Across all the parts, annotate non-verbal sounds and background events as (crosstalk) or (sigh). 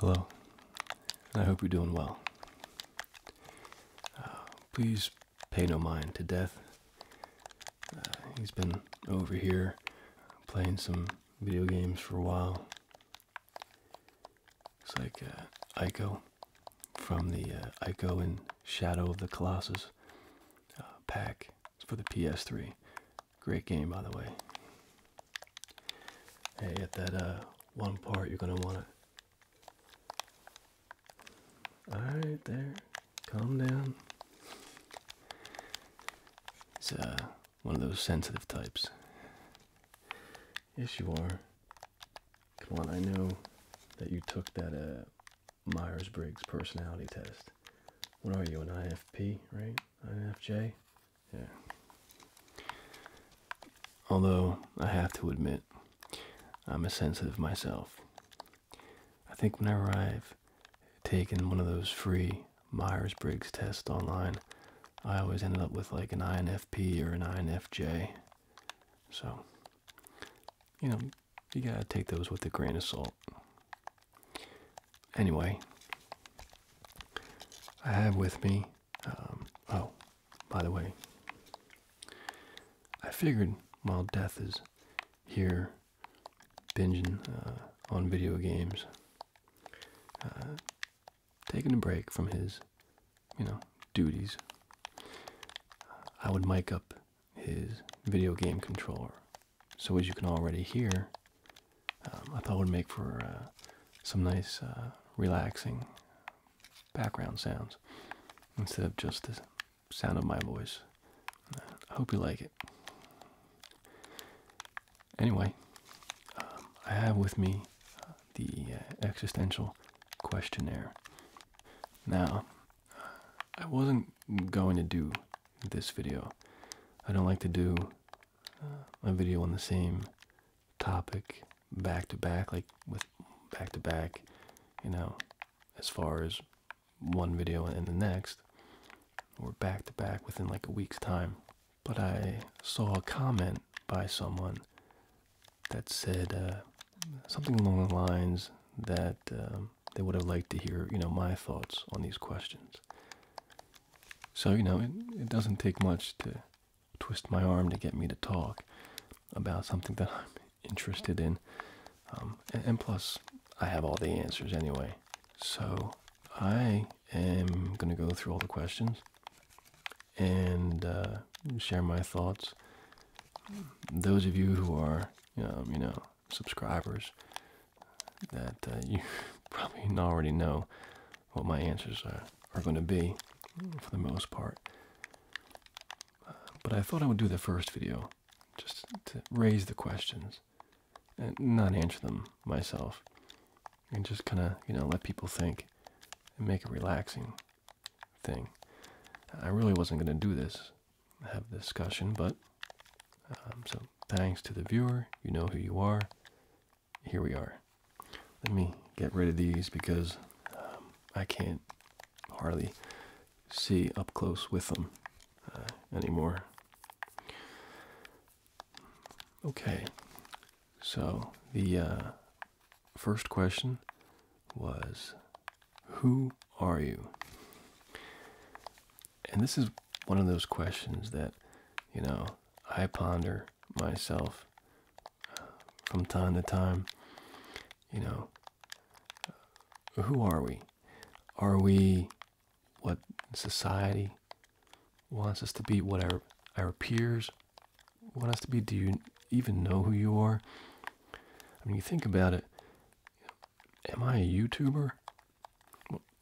Hello, I hope you're doing well. Uh, please pay no mind to death. Uh, he's been over here playing some video games for a while. It's like uh, Ico from the uh, Ico and Shadow of the Colossus uh, pack. It's for the PS3. Great game, by the way. Hey, at that one part, you're going to want to all right, there. Calm down. It's uh, one of those sensitive types. Yes, you are. Come on, I know that you took that uh, Myers Briggs personality test. What are you, an IFP, right? INFJ? Yeah. Although, I have to admit, I'm a sensitive myself. I think when I've taken one of those free Myers Briggs tests online, I always ended up with like an INFP or an INFJ. So, you know, you gotta take those with a grain of salt. Anyway, I have with me, um, oh, by the way. I figured while Death is here binging uh, on video games, uh, taking a break from his, you know, duties, I would mic up his video game controller. So as you can already hear, um, I thought it would make for uh, some nice, relaxing background sounds instead of just the sound of my voice. I hope you like it. Anyway, um, I have with me uh, the uh, existential questionnaire. Now, I wasn't going to do this video. I don't like to do uh, a video on the same topic back to back, like with back to back, you know, as far as one video and the next or back to back within like a week's time. But I saw a comment by someone that said uh, something along the lines that um, they would have liked to hear, you know, my thoughts on these questions. So, you know, it, it doesn't take much to twist my arm to get me to talk about something that I'm interested in. Um, and, plus, I have all the answers anyway. So I am going to go through all the questions and uh, share my thoughts. Those of you who are, um, you know, subscribers, that uh, (laughs) you probably already know what my answers are, are going to be for the most part but I thought I would do the first video just to raise the questions and not answer them myself and just kind of, you know, let people think and make a relaxing thing. I really wasn't going to do this, have a discussion, but um, so thanks to the viewer. You know who you are. Here we are. Let me get rid of these because um, I can't hardly see up close with them uh, anymore. Okay, so the uh, first question was Who are you? And this is one of those questions that, you know, I ponder myself uh, from time to time. You know, who are we? Are we what society wants us to be? What our, our peers want us to be? Do you even know who you are? I mean, you think about it. Am I a YouTuber?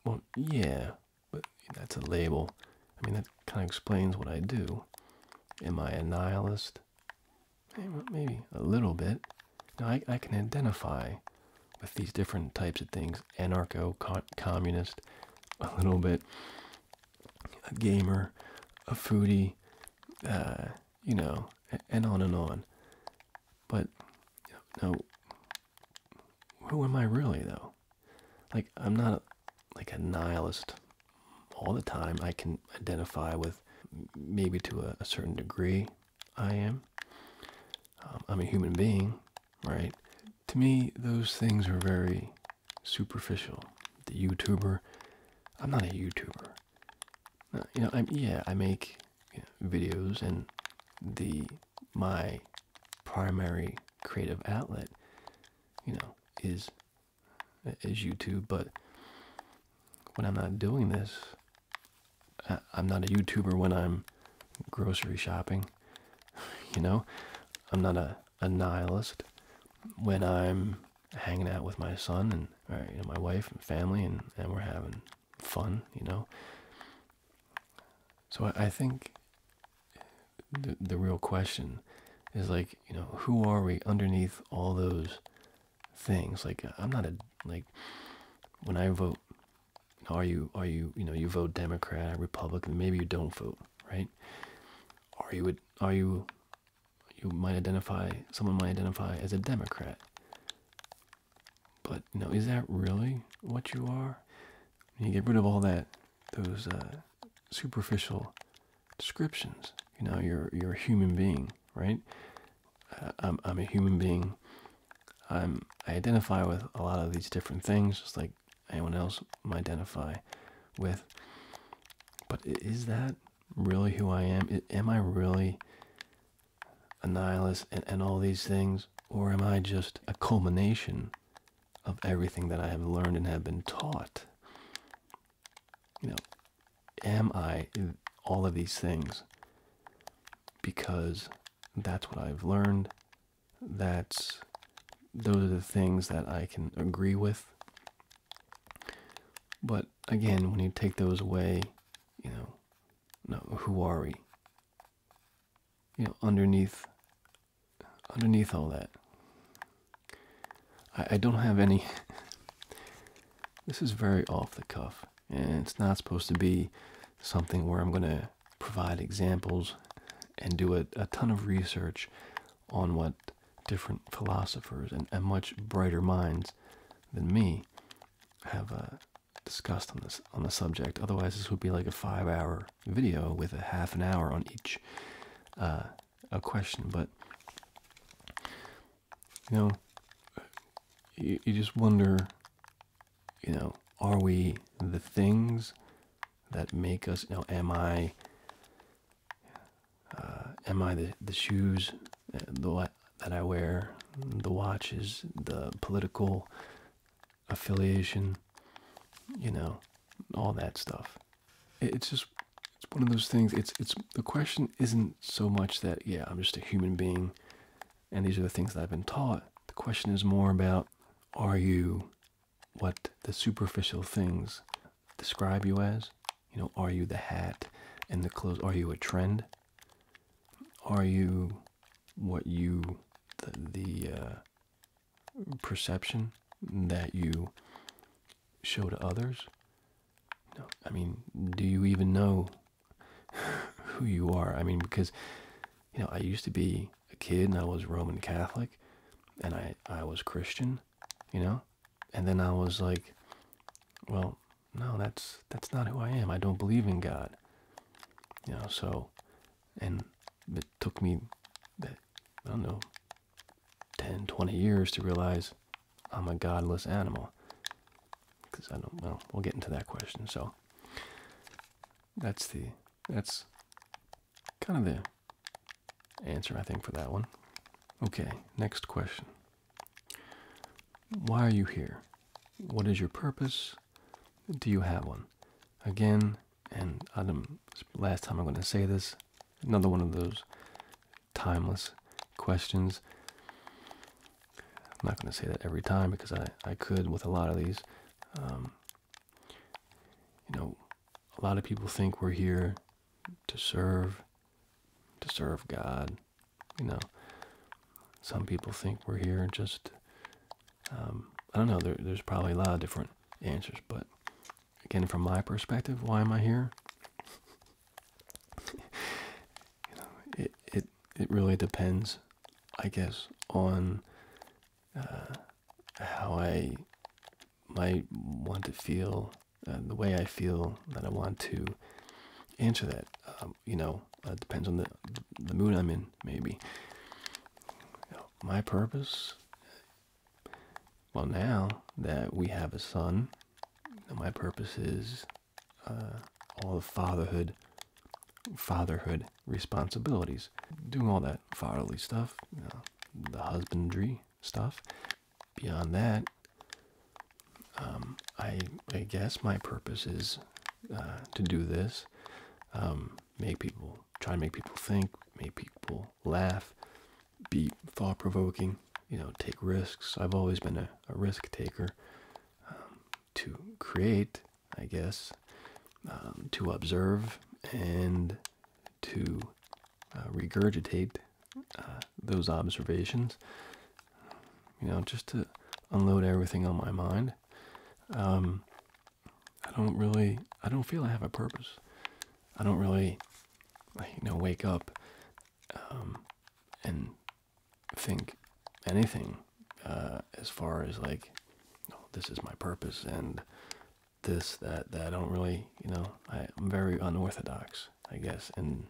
Well, yeah, but that's a label. I mean, that kind of explains what I do. Am I a nihilist? maybe a little bit. Now I, can identify with these different types of things anarcho, communist, a little bit, a gamer, a foodie, uh, you know, and on and on. But no, who am I really though? Like I'm not like a nihilist all the time. I can identify with maybe to a, certain degree, I am. Um, I'm a human being, right? To me, those things are very superficial. The YouTuber, I'm not a YouTuber. Uh, you know, I'm yeah, I make videos, and the my primary creative outlet, you know, is is YouTube, but when I'm not doing this. I'm not a YouTuber when I'm grocery shopping, (laughs) you know? I'm not a, a nihilist when I'm hanging out with my son and or, my wife and family and, and we're having fun, you know? So I, I think the, the real question is like, you know, who are we underneath all those things. Like uh, I'm not a like when I vote. Are you are you you know you vote Democrat, Republican? Maybe you don't vote, right? Are you are you you might identify someone might identify as a Democrat, but you know is that really what you are? You get rid of all that those uh, superficial descriptions. You know you're you're a human being right? Uh, I'm, I'm a human being. I'm, I identify with a lot of these different things, just like anyone else might identify with. But is that really who I am? Am I really a nihilist and, and all these things? Or am I just a culmination of everything that I have learned and have been taught? You know, am I in all of these things? Because that's what I've learned. That's those are the things that I can agree with. But again, when you take those away, you know, no, who are we? You know, underneath, underneath all that, I don't have any. (laughs) this is very off the cuff. And it's not supposed to be something where I'm going to provide examples and do a, ton of research on what different philosophers and, much brighter minds than me have uh, discussed on this on the subject. Otherwise, this would be like a five-hour video with a half an hour on each uh, a question. But you know, you, you just wonder, you know, are we the things that make us, you know, am I, uh, am I the, the shoes the, that I wear, the watches, the political affiliation, you know, all that stuff. It's just, it's one of those things, it's, it's the question isn't so much that, yeah, I'm just a human being and these are the things that I've been taught. The question is more about are you what the superficial things describe you as? You know, are you the hat and the clothes? Are you a trend? Are you what you, the, uh, perception that you show to others? No, I mean, do you even know (laughs) who you are? I mean, because you know, I used to be a kid and I was Roman Catholic, and I I was Christian, you know, and then I was like, well, no, that's that's not who I am. I don't believe in God, you know. So, and it took me, I don't know, 10, 20 years to realize I'm a godless animal. Because I don't, well, we'll get into that question. So that's the, that's kind of the answer, I think, for that one. Okay, next question. Why are you here? What is your purpose? Do you have one? Again, and Adam, last time I'm going to say this, another one of those timeless questions. I'm not going to say that every time because I, I could with a lot of these. Um, you know, a lot of people think we're here to serve, to serve God. You know, some people think we're here just, um, I don't know, there's probably a lot of different answers, but again, from my perspective, why am I here? you know, it it it really depends, I guess, on uh, how I might want to feel, uh, the way I feel that I want to answer that. Um, you know, it uh, depends on the the mood I'm in, maybe. my purpose. Well, now that we have a son, my purpose is uh, all the fatherhood fatherhood responsibilities doing all that fatherly stuff the husbandry stuff beyond that um, I, I guess my purpose is uh, to do this um, make people try to make people think make people laugh be thought-provoking you know take risks i've always been a risk taker um, to create, I guess, um, to observe, and to uh, regurgitate uh, those observations. You know, just to unload everything on my mind. Um, I don't really, I don't feel I have a purpose. I don't really, you know, wake up and think anything uh, as far as like this is my purpose and this that that I don't really you know I, am very unorthodox I guess and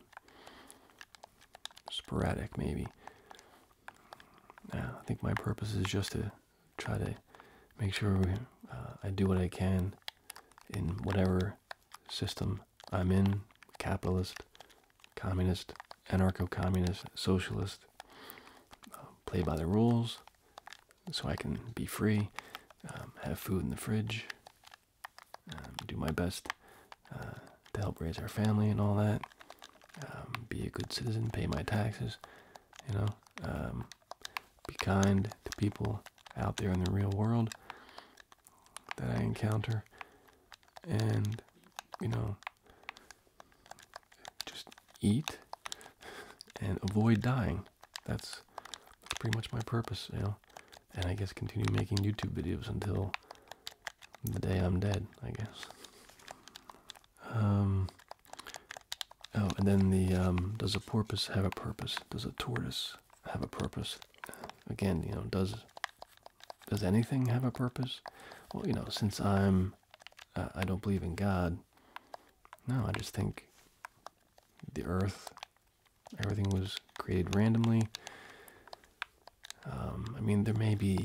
sporadic maybe I think my purpose is just to try to make sure uh, I do what I can in whatever system I'm in capitalist, communist, anarcho-communist, socialist, um, play by the rules, so I can be free, um, have food in the fridge, um, do my best uh, to help raise our family and all that, be a good citizen, pay my taxes, you know, be kind to people out there in the real world that I encounter and you know just eat and avoid dying that's, pretty much my purpose you know and i guess continue making youtube videos until the day i'm dead i guess um oh and then the um does a porpoise have a purpose does a tortoise have a purpose again you know does does anything have a purpose? Well, you know, since I'm, uh, I don't believe in God. No, I just think the earth, everything was created randomly. Um, I mean, there may be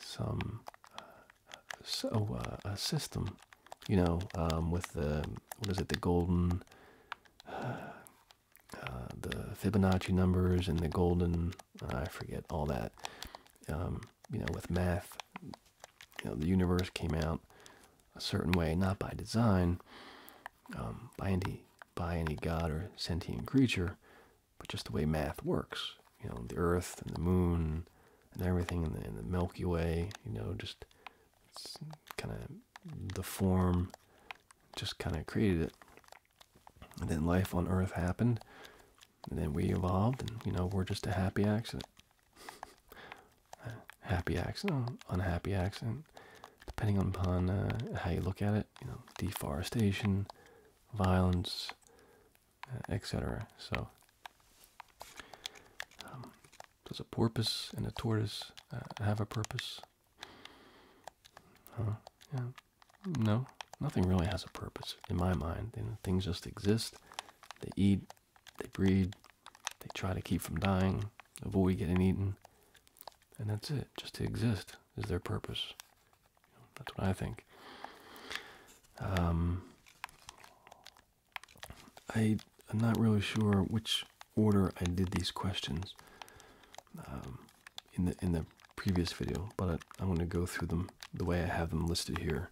some uh, so uh, a system, you know, um, with the what is it, the golden, the Fibonacci numbers and the golden I forget all that. Um, you know, with math, you know, the universe came out a certain way, not by design, um, by any by any god or sentient creature, but just the way math works. You know, the Earth and the Moon and everything in the, in the Milky Way. You know, just it's kind of the form just kind of created it. And then life on Earth happened, and then we evolved, and you know we're just a happy accident. (laughs) happy accident, unhappy accident, depending upon uh, how you look at it. You know, deforestation, violence, uh, etc. So. Um, does a porpoise and a tortoise uh, have a purpose? No, nothing really has a purpose in my mind. You things just exist. They eat, they breed, they try to keep from dying, avoid getting eaten, and that's it. Just to exist is their purpose. that's what I think. Um, I, am not really sure which order I did these questions. Um, in the in the previous video, but I, am going to go through them the way I have them listed here.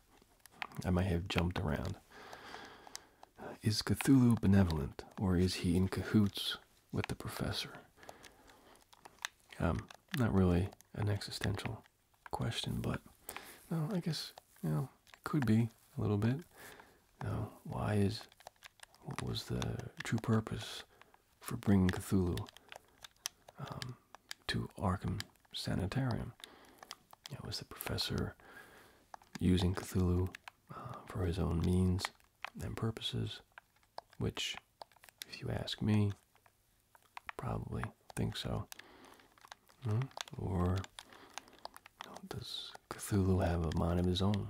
I might have jumped around. is Cthulhu benevolent, or is he in cahoots with the professor? Um, not really an existential question, but no, I guess you know it could be a little bit. No, why is what was the true purpose for bringing Cthulhu um, to Arkham Sanitarium. It was the professor using Cthulhu uh, for his own means and purposes, which, if you ask me, probably think so. Hmm? Or does Cthulhu have a mind of his own?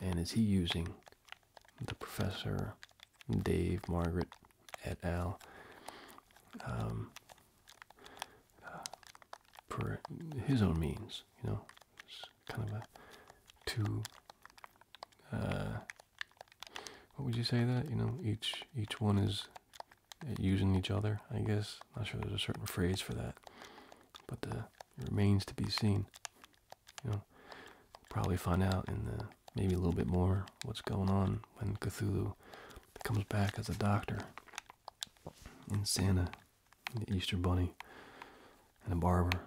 And is he using the professor, Dave, Margaret, et al. Um, for his own means, you know, it's kind of a two. Uh, what would you say that you know each each one is using each other? I guess not sure there's a certain phrase for that, but the it remains to be seen you know, probably find out in the maybe a little bit more what's going on when Cthulhu comes back as a doctor in Santa, the Easter Bunny, and a barber.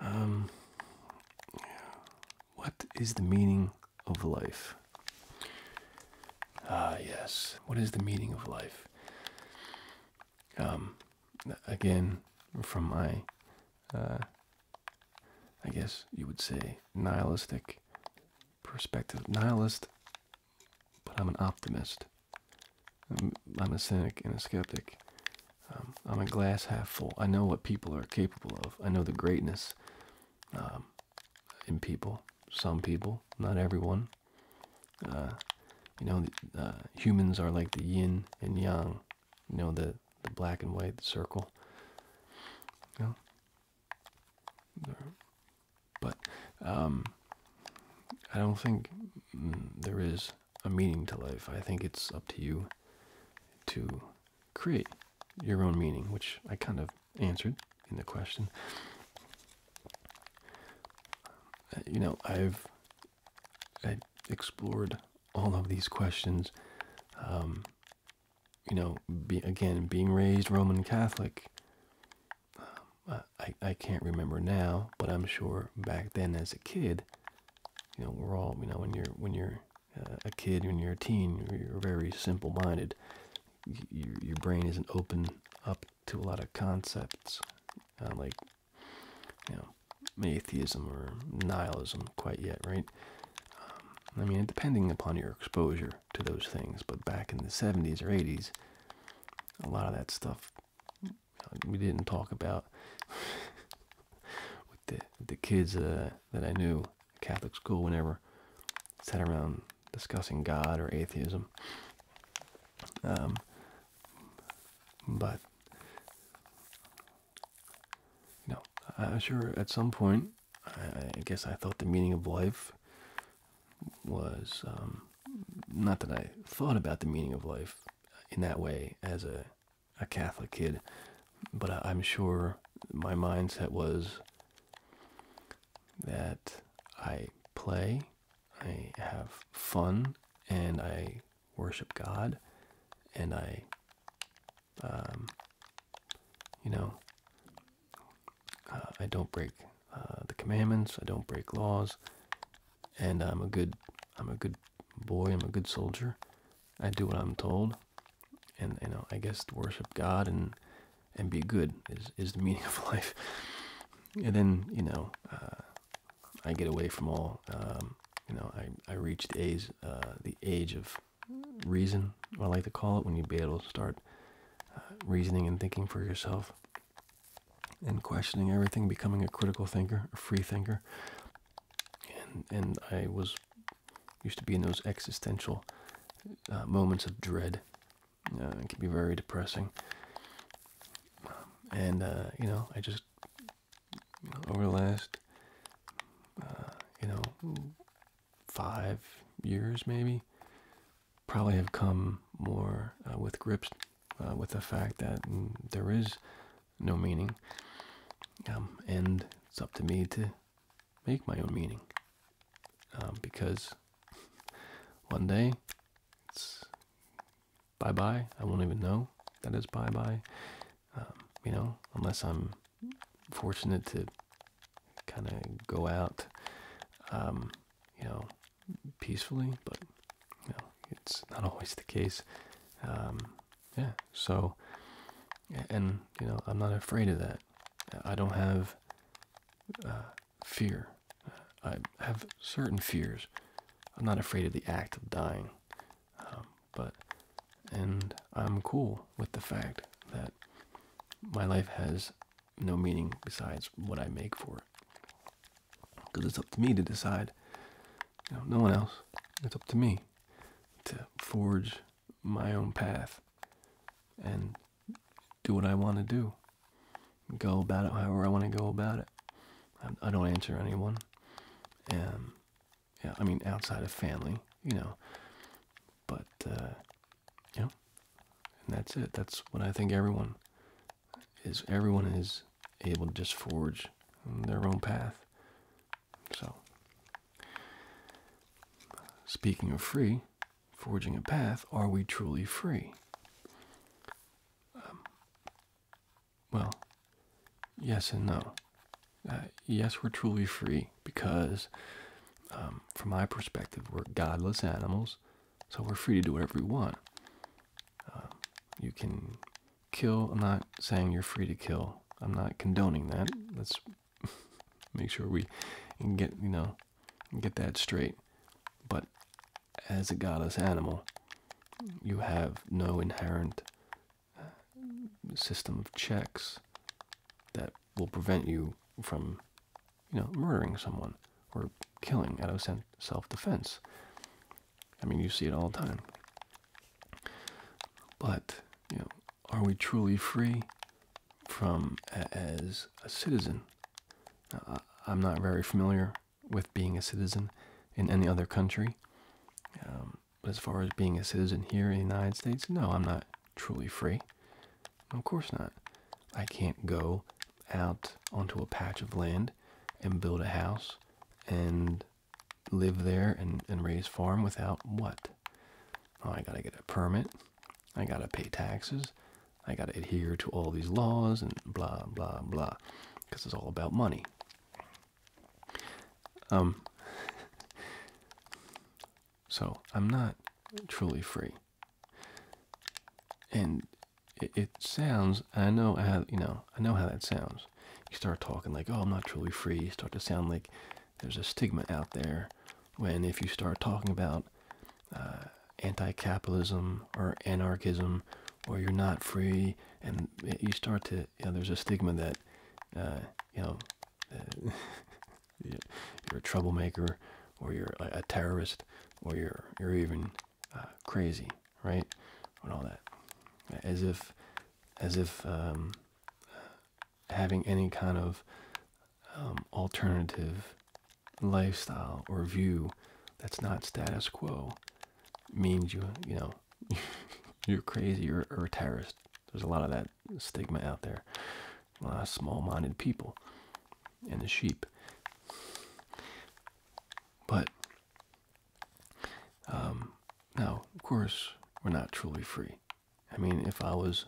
Um, what is the meaning of life? Ah, yes. What is the meaning of life? Um, again, from my uh, I guess you would say, nihilistic perspective. Nihilist, but I'm an optimist. I'm, a cynic and a skeptic. Um, I'm a glass half full. I know what people are capable of. I know the greatness um, in people. Some people, not everyone. Uh, you know, uh, humans are like the yin and yang. You know, the, the black and white circle. You But um, I don't think mm, there is a meaning to life. I think it's up to you to create your own meaning, which I kind of answered in the question. Uh, you know, I've i have explored all of these questions. Um, you know, be, again, being raised Roman Catholic, um, I, I can't remember now, but I'm sure back then as a kid, you know, we're all, you know, when you're, when you're uh, a kid, when you're a teen, you're very simple minded. Your, your brain isn't open up to a lot of concepts, uh, like, you know, atheism or nihilism quite yet, right? Um, I mean, depending upon your exposure to those things, but back in the 70s or 80s, a lot of that stuff we didn't talk about (laughs) with the, the kids uh, that I knew at Catholic school whenever sat around discussing God or atheism. Um, but you I'm sure at some point, I, guess I thought the meaning of life was um, not that I thought about the meaning of life in that way as a, a Catholic kid, but I'm sure my mindset was that I play, I have fun, and I worship God, and I um, you know, uh, I don't break uh, the commandments, I don't break laws, and I'm a good, I'm a good boy, I'm a good soldier. I do what I'm told, and you know, I guess worship God and and be good is is the (laughs) meaning of life. And then you know, uh, I get away from all um, you know, I, I reached age, uh, the age of reason, I like to call it, when you be able to start uh, reasoning and thinking for yourself and questioning everything, becoming a critical thinker, a free thinker. And, and I was used to be in those existential uh, moments of dread. it can be very depressing. Um, and, you know, I just over the last, uh, you know, five years maybe, probably have come more uh, with grips uh, with the fact that mm, there is no meaning, um, and it's up to me to make my own meaning. Um, because one day it's bye bye. I won't even know that is bye bye. Um, you know, unless I'm fortunate to kind of go out, um, you know, peacefully. But you know, it's not always the case. Um, yeah. So, and you know, I'm not afraid of that. I don't have uh, fear. Uh, I have certain fears. I'm not afraid of the act of dying. Um, but and I'm cool with the fact that my life has no meaning besides what I make for it. Because it's up to me to decide. no one else. It's up to me to forge my own path and do what I want to do. Go about it however I want to go about it. I don't answer anyone. And yeah, I mean, outside of family, you know, but, uh, yeah, and that's it. That's what I think everyone is, everyone is able to just forge their own path. So, speaking of free, forging a path, are we truly free? Um, well, yes and no. Uh, yes, we're truly free because, um, from my perspective, we're godless animals, so we're free to do whatever we want. Um, you can kill. I'm not saying you're free to kill. I'm not condoning that. Let's (laughs) make sure we get you know get that straight. But as a godless animal, you have no inherent system of checks that will prevent you from, you know, murdering someone or killing out of self-defense. I mean, you see it all the time. But you know, are we truly free from as a citizen? I'm not very familiar with being a citizen in any other country. Um, but as far as being a citizen here in the United States, no, I'm not truly free. Of course not. I can't go out onto a patch of land and build a house and live there and, and raise farm without what? Oh, I gotta get a permit. I gotta pay taxes. I gotta adhere to all these laws and blah, blah, blah. Because it's all about money. Um, so I'm not truly free. And it, sounds, I know how, you know, I know how that sounds. You start talking like, oh, I'm not truly free. You start to sound like there's a stigma out there when if you start talking about uh, anti-capitalism or anarchism or you're not free and you start to, yeah, there's a stigma that, uh, you know, uh, (laughs) you're a troublemaker or you're a, terrorist or you're you're even uh, crazy right and all that as if as if um, having any kind of um, alternative lifestyle or view that's not status quo means you you know (laughs) you're crazy or, or a terrorist there's a lot of that stigma out there. small-minded people and the sheep. But um, now, of course, we're not truly free. I mean, if I was,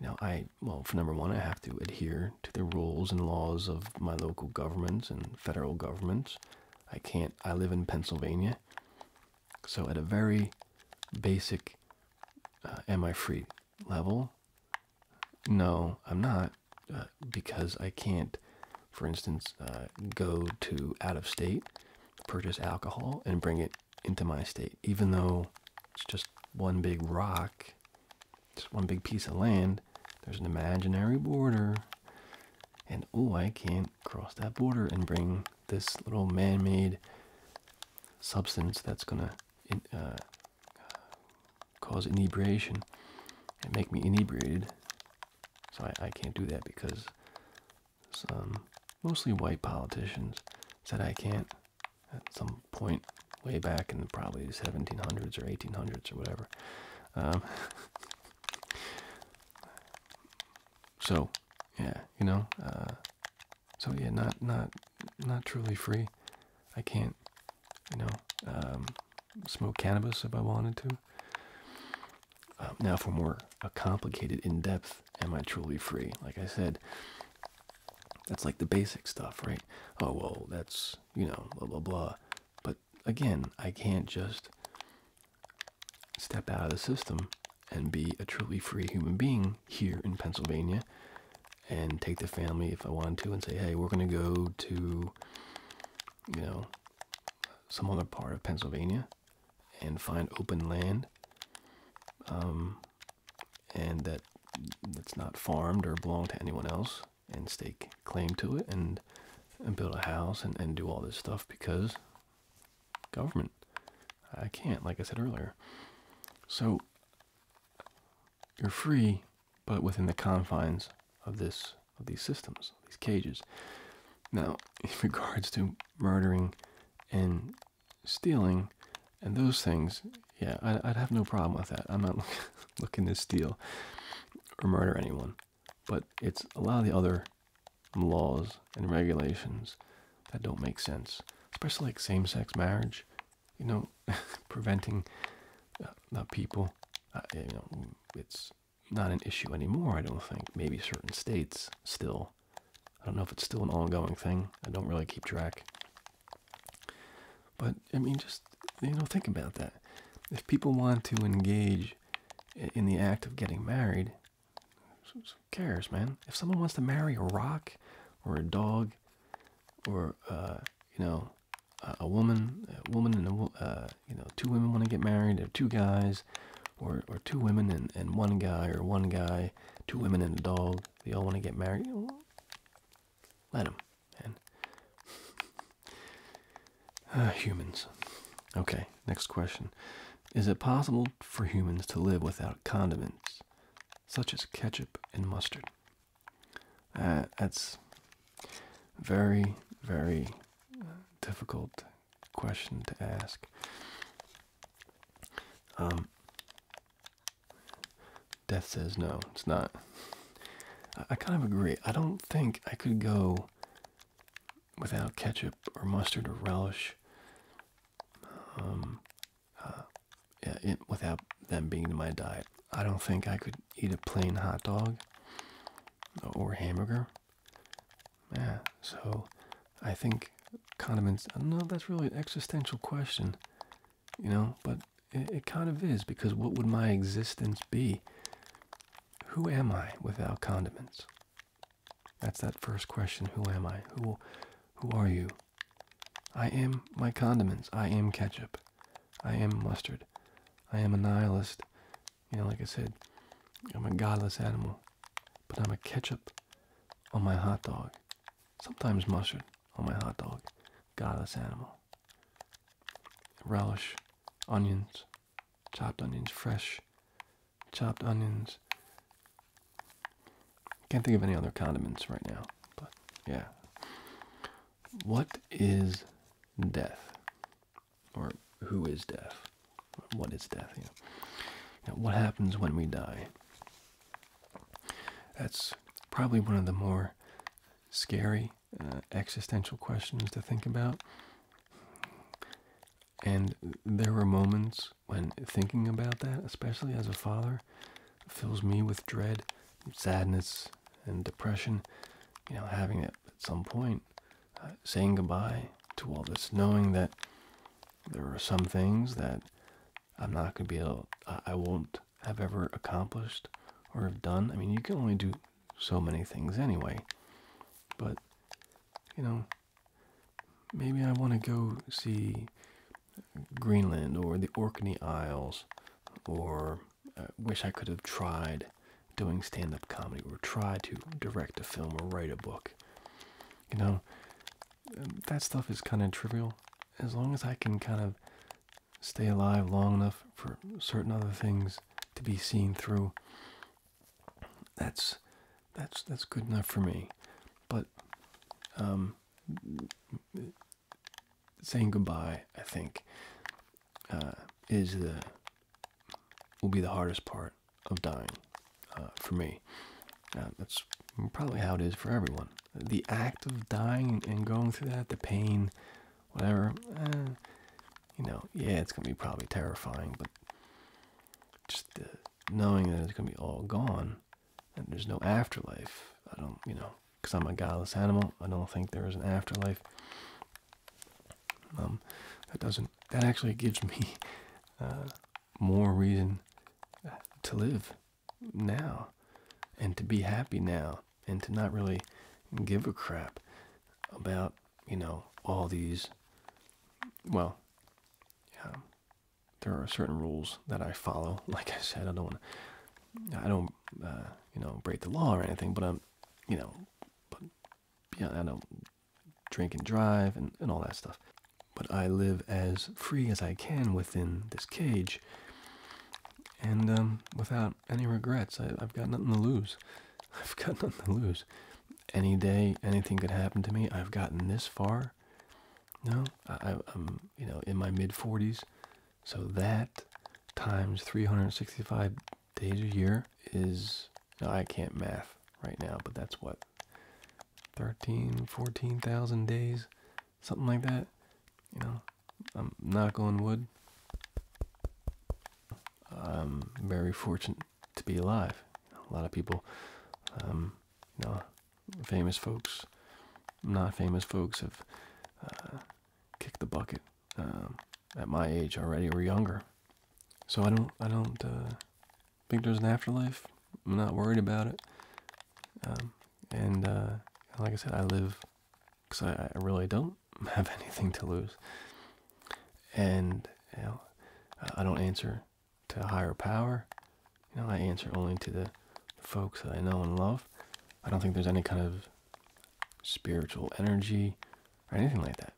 you know, I, well, for number one, I have to adhere to the rules and laws of my local governments and federal governments. I can't, I live in Pennsylvania. So at a very basic, uh, am I free level? No, I'm not, uh, because I can't, for instance, uh, go to out of state, purchase alcohol, and bring it into my state, even though it's just one big rock, just one big piece of land. There's an imaginary border, and oh, I can't cross that border and bring this little man-made substance that's gonna uh, uh, cause inebriation and make me inebriated. So I, can't do that because some mostly white politicians said I can't at some point way back in probably the 1700s or 1800s or whatever. Um, (laughs) so, yeah, you know, uh, so yeah, not not not truly free. I can't, you know, um, smoke cannabis if I wanted to. Um, now for more uh, complicated, in-depth, am I truly free? Like I said, that's like the basic stuff, right? Oh well, that's you know blah blah blah. But again, I can't just step out of the system and be a truly free human being here in Pennsylvania and take the family if I wanted to and say, hey, we're going to go to, you know, some other part of Pennsylvania and find open land um, and that it's not farmed or belong to anyone else and stake claim to it and and build a house and, and do all this stuff because government. I can't, like I said earlier. So you're free, but within the confines of this of these systems, these cages. Now, (laughs) in regards to murdering and stealing and those things, yeah, I, would have no problem with that. I'm not (laughs) looking to steal or murder anyone, but it's a lot of the other laws and regulations that don't make sense, especially like same-sex marriage. You know, (laughs) preventing uh, the people. Uh, you know, it's not an issue anymore. I don't think. Maybe certain states still. I don't know if it's still an ongoing thing. I don't really keep track. But I mean, just you know, think about that. If people want to engage in the act of getting married, who cares, man? If someone wants to marry a rock or a dog or uh, you know a, woman, woman and uh, you know two women want to get married, or two guys, or or two women and and one guy, or one guy, two women and a dog. They all want to get married. Let them, man. (laughs) Ah, humans. Okay, next question. Is it possible for humans to live without condiments? such as ketchup and mustard. Uh, that's very, very uh, difficult question to ask. Um, death says no, it's not. I, kind of agree. I don't think I could go without ketchup or mustard or relish. Um, uh, without them being in my diet. I don't think I could eat a plain hot dog or hamburger. Yeah, so I think condiments, I uh, don't know that's really an existential question, you know, but it, kind of is because what would my existence be? Who am I without condiments? That's that first question. Who am I? Who who are you? I am my condiments. I am ketchup. I am mustard. I am a nihilist. You know, like I said, I'm a godless animal. But I'm a ketchup on my hot dog. Sometimes mustard on my hot dog. Godless animal. Relish, onions, chopped onions, fresh, chopped onions, can't think of any other condiments right now, but yeah. What is death? Or who is death? What is death? Yeah. You what happens when we die? That's probably one of the more scary uh, existential questions to think about. And there were moments when thinking about that, especially as a father, fills me with dread, sadness, and depression. You know, having it at some point, uh, saying goodbye to all this, knowing that there are some things that I'm not going to be able, I won't have ever accomplished or have done. I mean, you can only do so many things anyway, but you know, maybe I want to go see Greenland or the Orkney Isles, or uh, wish I could have tried doing stand up comedy or tried to direct a film or write a book. You know, um, that stuff is kind of trivial. As long as I can kind of stay alive long enough for certain other things to be seen through, that's that's that's good enough for me. But um, saying goodbye, I think, uh, is the will be the hardest part of dying uh, for me. Uh, that's probably how it is for everyone. The act of dying and going through that, the pain, whatever, you know, yeah, it's gonna be probably terrifying, but just the knowing that it's going to be all gone and there's no afterlife. I don't, you know, because I'm a godless animal, I don't think there is an afterlife. Um, that doesn't, that actually gives me uh, more reason to live now and to be happy now and to not really give a crap about, you know, all these, well, um, there are certain rules that I follow. (laughs) Like I said, I don't want I don't uh, you know break the law or anything, but I'm you know, but yeah, I don't drink and drive and, and all that stuff. But I live as free as I can within this cage and um, without any regrets. I've got nothing to lose. (laughs) I've got nothing to lose. Any day, anything could happen to me. I've gotten this far. No, I, am you know in my mid 40s, so that times 365 days a year is no, I can't math right now, but that's what 13, 14,000 days, something like that. You know, I'm knock on wood. I'm very fortunate to be alive. A lot of people, um, you know, famous folks, not famous folks have uh, kicked the bucket um, at my age already or younger. So I don't, I don't uh, think there's an afterlife. I'm not worried about it. Um, and uh, like I said, I live because I, really don't (laughs) have anything to lose. And I don't answer to a higher power. You know, I answer only to the folks that I know and love. I don't think there's any kind of spiritual energy or anything like that.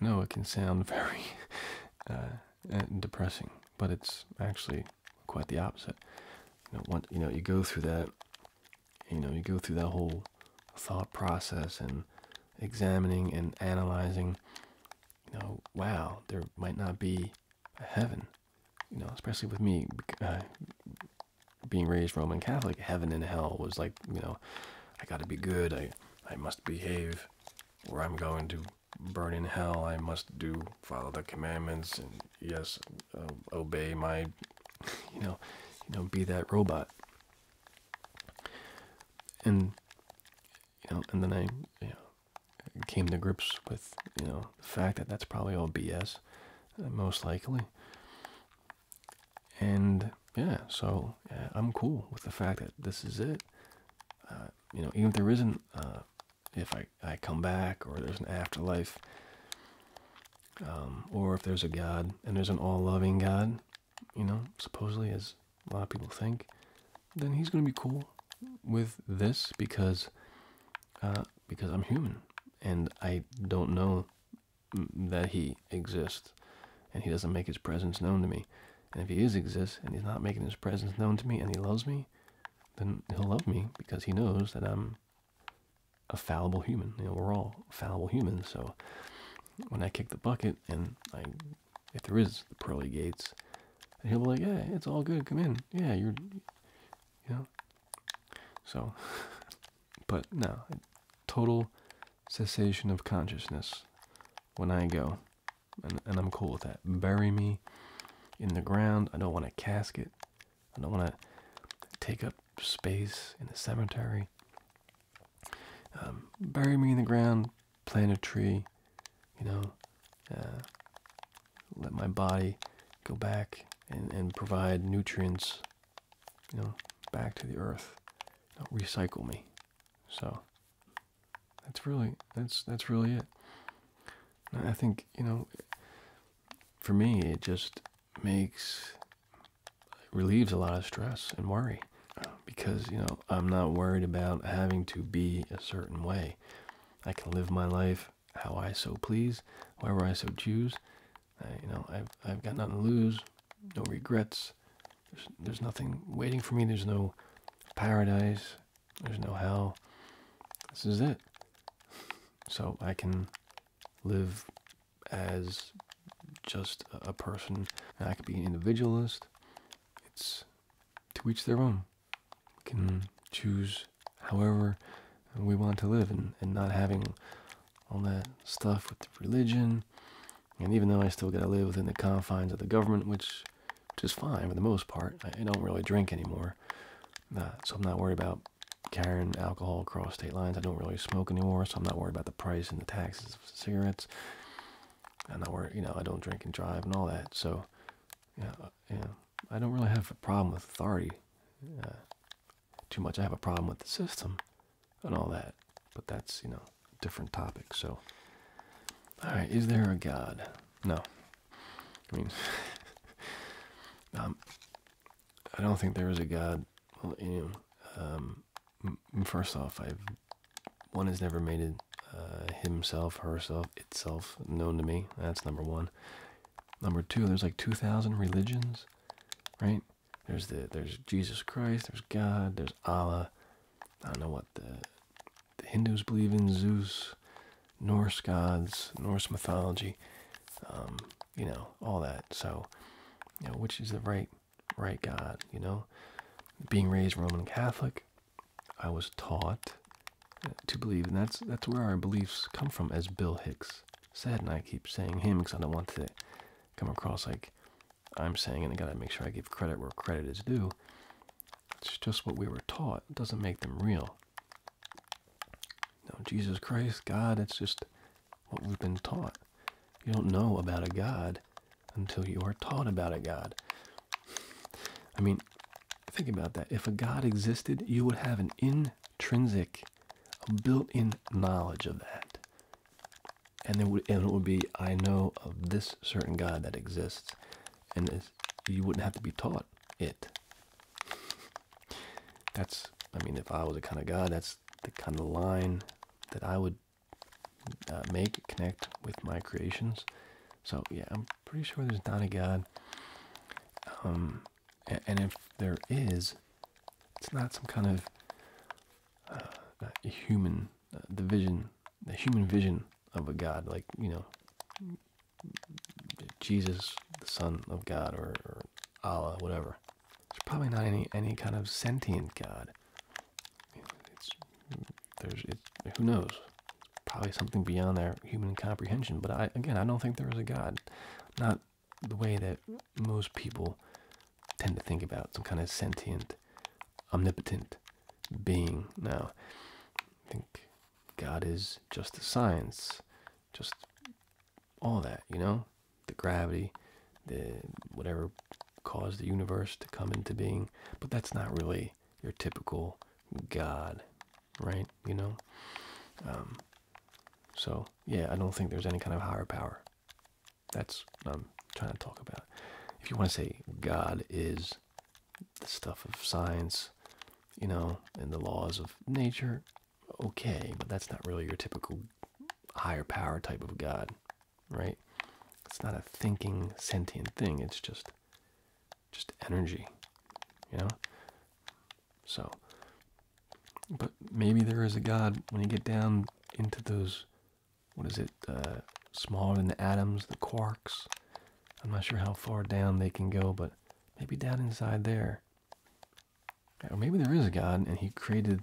I know it can sound (laughs) very uh, uh, depressing, but it's actually quite the opposite. You know, one, you know, you go through that, you know, you go through that whole thought process and examining and analyzing. You know, wow, there might not be heaven. You know, especially with me uh, being raised Roman Catholic, heaven and hell was like, you know, I got to be good. I I must behave, or I'm going to burn in hell. I must do follow the commandments and yes, uh, obey my, you know, you know, be that robot. And you know, and then I yeah came to grips with you know the fact that that's probably all BS, uh, most likely. And yeah, so I'm cool with the fact that this is it. Uh, you know, even if there isn't, uh, if I I come back or there's an afterlife, um, or if there's a God and there's an all-loving God, you know, supposedly as a lot of people think, then he's gonna be cool with this because uh, because I'm human and I don't know that he exists and he doesn't make his presence known to me. And if he is exists and he's not making his presence known to me and he loves me, then he'll love me because he knows that I'm a fallible human. You know, we're all fallible humans. So when I kick the bucket and I, if there is the pearly gates, he'll be like, yeah, it's all good. Come in. Yeah, you're, you know. So, (laughs) but no, total cessation of consciousness when I go, and, and I'm cool with that. Bury me in the ground. I don't want a casket. I don't want to take up space in the cemetery. Um, bury me in the ground, plant a tree, you know, uh, let my body go back and, and provide nutrients, you know, back to the earth, recycle me. So that's really that's that's really it. I think you know, for me, it just makes relieves a lot of stress and worry because you know I'm not worried about having to be a certain way. I can live my life how I so please, wherever I so choose. you know, I've I've got nothing to lose, no regrets. There's there's nothing waiting for me. There's no paradise. There's no hell. This is it. So I can live as just a person. I could be an individualist. It's to each their own can choose however we want to live and, and not having all that stuff with religion. And even though I still got to live within the confines of the government, which, which is fine for the most part, I, don't really drink anymore. Uh, so I'm not worried about carrying alcohol across state lines. I don't really smoke anymore, so I'm not worried about the price and the taxes of cigarettes. I'm not worried, you know, I don't drink and drive and all that. So, you you I don't really have a problem with authority uh, too much. I have a problem with the system and all that, but that's, you know, different topic. So, all right, is there a God? No. I mean, (laughs) um, I don't think there is a God. Um, first off, I've one has never made it uh, himself, herself, itself known to me. That's number one. Number two, there's like 2,000 religions, right? There's the there's Jesus Christ, there's God, there's Allah. I don't know what the the Hindus believe in Zeus, Norse gods, Norse mythology, um, you know, all that. So, which is the right right God? You know, being raised Roman Catholic, I was taught to believe, and that's that's where our beliefs come from. As Bill Hicks said, and I keep saying him because I don't want to come across like I'm saying, and I gotta make sure I give credit where credit is due. It's just what we were taught. doesn't make them real. No, Jesus Christ, God, it's just what we've been taught. You don't know about a God until you are taught about a God. (sighs) I mean, think about that. If a God existed, you would have an in intrinsic, a built-in knowledge of that, and it would be I know of this certain God that exists, and you wouldn't have to be taught it. That's I mean, if I was the kind of God, that's the kind of line that I would uh, make connect with my creations. So yeah, I'm pretty sure there's not a God. Um, and if there is, it's not some kind of uh, human uh, the vision, the human vision of a God, like you know, Jesus, the Son of God, or, Allah, whatever. It's probably not any any kind of sentient God. It's there's it's, who knows. probably something beyond our human comprehension. But I again, I don't think there is a God. Not the way that most people tend to think about some kind of sentient, omnipotent being. Now, I think God is just the science, just all that, you know? The gravity, the whatever caused the universe to come into being. But that's not really your typical God right? You know? Um, so, yeah, I don't think there's any kind of higher power. That's what I'm trying to talk about. If you want to say God is the stuff of science, you know, and the laws of nature, okay, but that's not really your typical higher power type of God, right? It's not a thinking, sentient thing. It's just, just energy, you know. So, but maybe there is a God when you get down into those, what is it, uh, smaller than the atoms, the quarks. I'm not sure how far down they can go, but maybe down inside there. Or maybe there is a God and he created,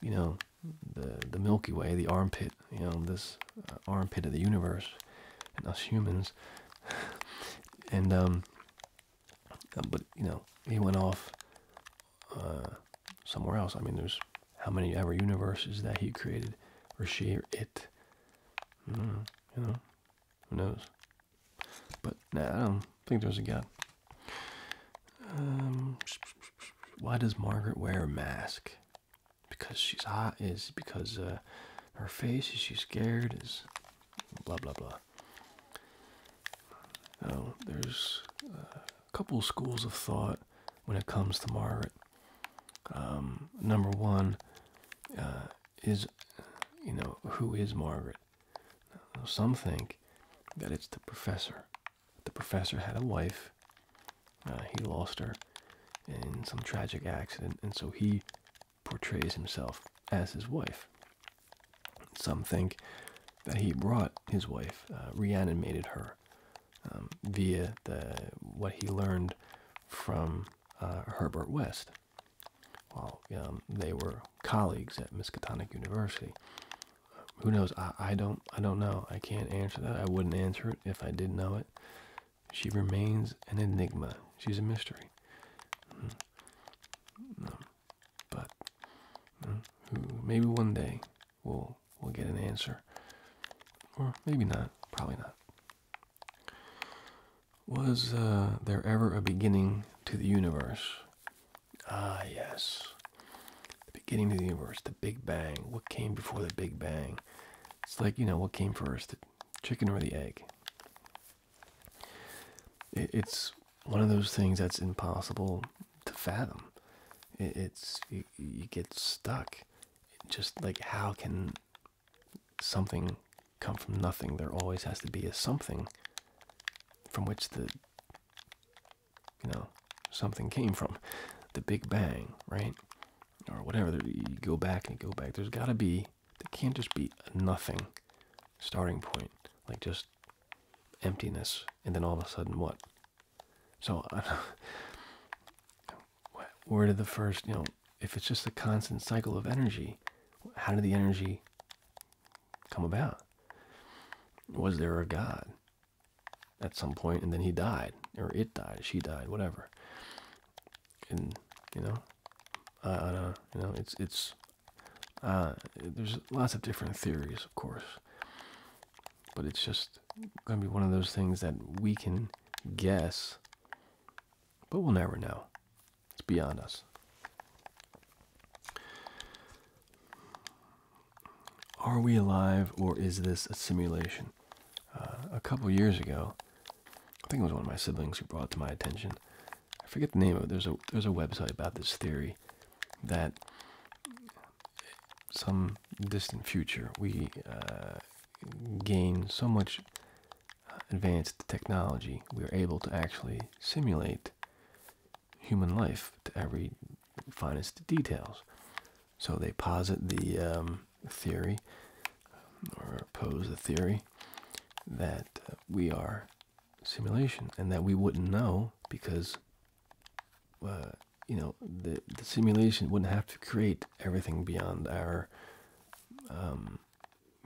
you know, the, the Milky Way, the armpit, you know, this uh, armpit of the universe and us humans. (laughs) and um, uh, but you know, he went off uh, somewhere else. I mean, there's how many ever universes that he created, or she, or it. Hmm, you know, who knows? But nah, I don't think there's a God. Um, why does Margaret wear a mask? Because she's hot? Is because uh, her face? Is she scared? Is blah blah blah. Now, oh, there's a couple schools of thought when it comes to Margaret. Um, number one uh, is, you know, who is Margaret? some think that it's the professor. The professor had a wife. Uh, he lost her in some tragic accident, and so he portrays himself as his wife. Some think that he brought his wife, uh, reanimated her um, via the what he learned from uh, Herbert West while um, they were colleagues at Miskatonic University. Who knows? I, don't I don't know. I can't answer that. I wouldn't answer it if I did know it. She remains an enigma. She's a mystery. Hmm but mm, maybe one day we'll we'll get an answer, or maybe not. Probably not. Was uh, there ever a beginning to the universe? Ah, yes. The beginning of the universe, the Big Bang. What came before the Big Bang? It's like, you know, what came first, the chicken or the egg? it's one of those things that's impossible to fathom. it's you, get stuck. just like how can something come from nothing? There always has to be a something from which the you know something came from, the Big Bang, right? Or whatever. You go back and go back. There's got to be. There can't just be nothing starting point. Like just emptiness, and then all of a sudden, what? So, (laughs) where did the first, you know, if it's just a constant cycle of energy, how did the energy come about? Was there a God at some point, and then he died, or it died, she died, whatever? And you know, I, don't, know. you know, it's it's uh, there's lots of different theories, of course, but it's just going to be one of those things that we can guess, but we'll never know. It's beyond us. Are we alive or is this a simulation? Uh, a couple years ago, I think it was one of my siblings who brought it to my attention. I forget the name of it. There's a there's a website about this theory that some distant future we uh, gain so much advanced technology we are able to actually simulate human life to every finest details. So they posit the um, theory or pose the theory that uh, we are simulation and that we wouldn't know because uh, you know the, the simulation wouldn't have to create everything beyond our um,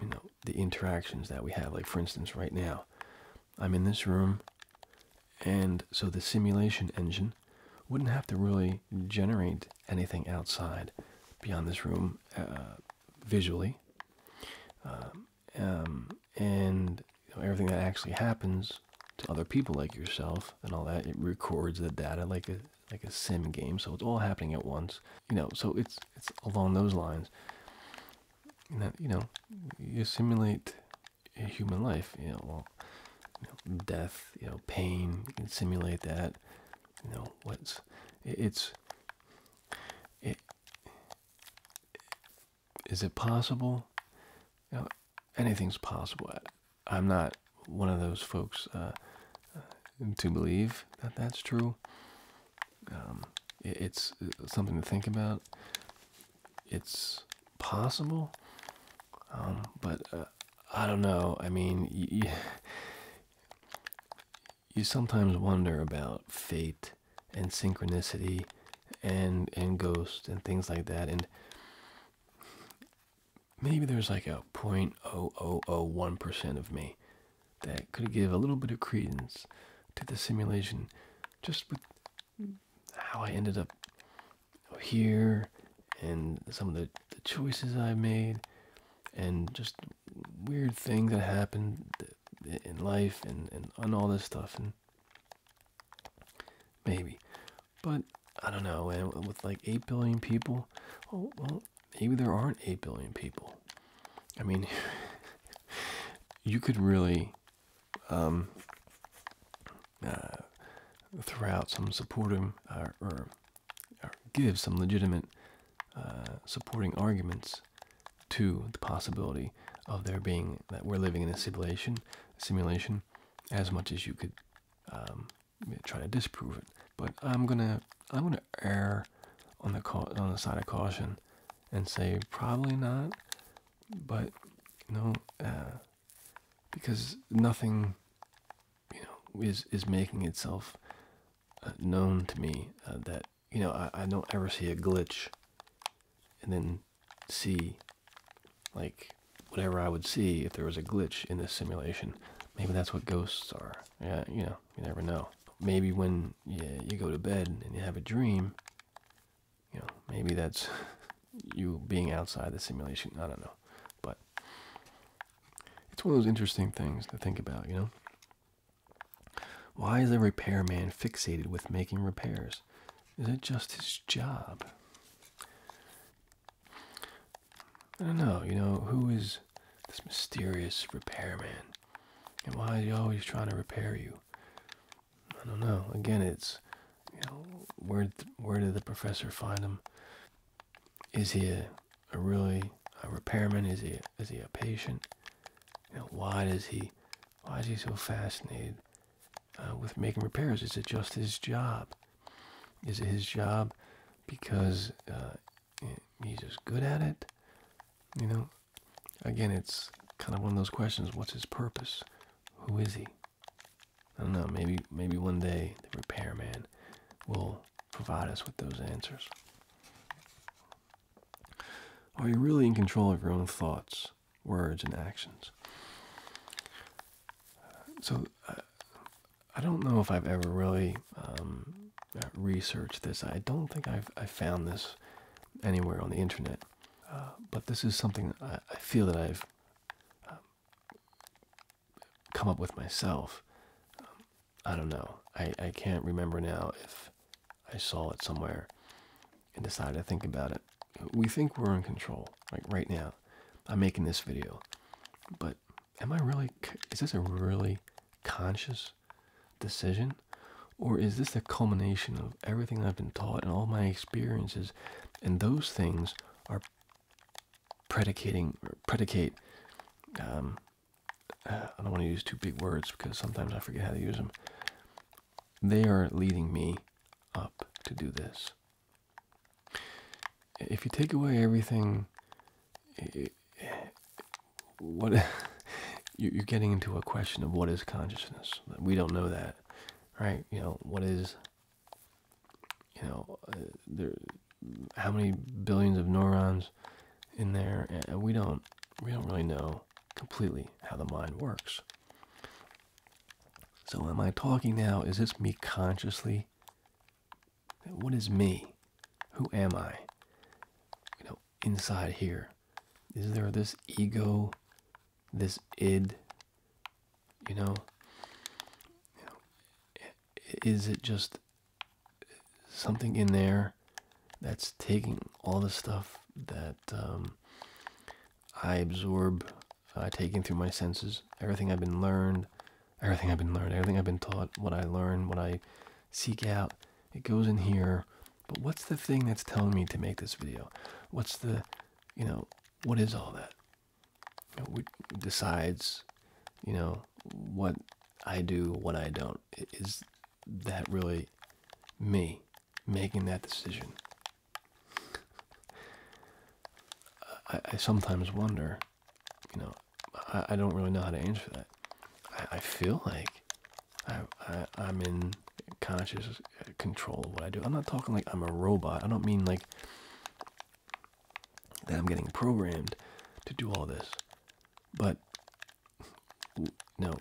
you know the interactions that we have like for instance right now i'm in this room and so the simulation engine wouldn't have to really generate anything outside beyond this room uh, visually um, um, and everything that actually happens to other people like yourself and all that. It records the data like a like a sim game, so it's all happening at once. You know, so it's it's along those lines. you know, you simulate human life. You know, death. You know, pain. You can simulate that. You know, what's it's is it possible? anything's possible. I'm not one of those folks uh, uh, to believe that that's true. Um, it's uh, something to think about. It's possible, um, but I don't know. I mean, you, (laughs) you sometimes wonder about fate and synchronicity and and ghosts and things like that and maybe there's like a 0001 percent of me that could give a little bit of credence to the simulation just with how I ended up here and some of the choices I made and just weird things that happened in life and, and and all this stuff and maybe but i don't know and with like 8 billion people well maybe there aren't 8 billion people i mean (laughs) you could really um uh, throw out some supportive uh, or, give some legitimate uh, supporting arguments to the possibility of there being that we're living in a simulation, simulation, as much as you could um, try to disprove it. But I'm gonna I'm gonna err on the on the side of caution and say probably not, but no, uh, because nothing you know is is making itself uh, known to me uh, that you know, I, don't ever see a glitch and then see like whatever I would see if there was a glitch in this simulation. Maybe that's what ghosts are. Yeah, you know, you never know. Maybe when yeah, you go to bed and you have a dream, you know, maybe that's (laughs) you being outside the simulation. I don't know. But it's one of those interesting things to think about, you know? Why is the repairman fixated with making repairs? Is it just his job? I don't know, you know, who is this mysterious repairman? And why is he always trying to repair you? I don't know. Again, it's, you know, where, where did the professor find him? Is he a, really a repairman? Is he a, is he a patient? You know, why does he why is he so fascinated uh, with making repairs? Is it just his job? Is it his job because uh, eh, he's just good at it? You know, again, it's kind of one of those questions. What's his purpose? Who is he? I don't know. Maybe, maybe one day the repairman will provide us with those answers. Are you really in control of your own thoughts? words, and actions. So, uh, I don't know if I've ever really um, researched this. I don't think I've I found this anywhere on the internet, uh, but this is something I, feel that I've um, come up with myself. Um, I don't know. I, I can't remember now if I saw it somewhere and decided to think about it. We think we're in control, like right now. I'm making this video, but am I really, is this a really conscious decision? Or is this the culmination of everything I've been taught and all my experiences? And those things are predicating, or predicate, um, uh, I don't want to use two big words because sometimes I forget how to use them. They are leading me up to do this. If you take away everything, what (laughs) you're getting into a question of what is consciousness? We don't know that, right? You know what is. You know uh, there, how many billions of neurons in there? And uh, we don't, we don't really know completely how the mind works. So, am I talking now? Is this me consciously? What is me? Who am I? You know, inside here, is there this ego, this id? You know, you know is it just something in there that's taking all the stuff that um, I absorb, I take in through my senses everything I've been learned, everything I've been learned, everything I've been taught, what I learn, what I seek out. It goes in here. But what's the thing that's telling me to make this video? What's the, you know, what is all that? what decides, you know, what I do, what I don't? Is that really me? making that decision. I, sometimes wonder, you know, I, don't really know how to answer that. I, feel like I, I'm in conscious control of what I do. I'm not talking like I'm a robot. I don't mean like that I'm getting programmed to do all this. But no.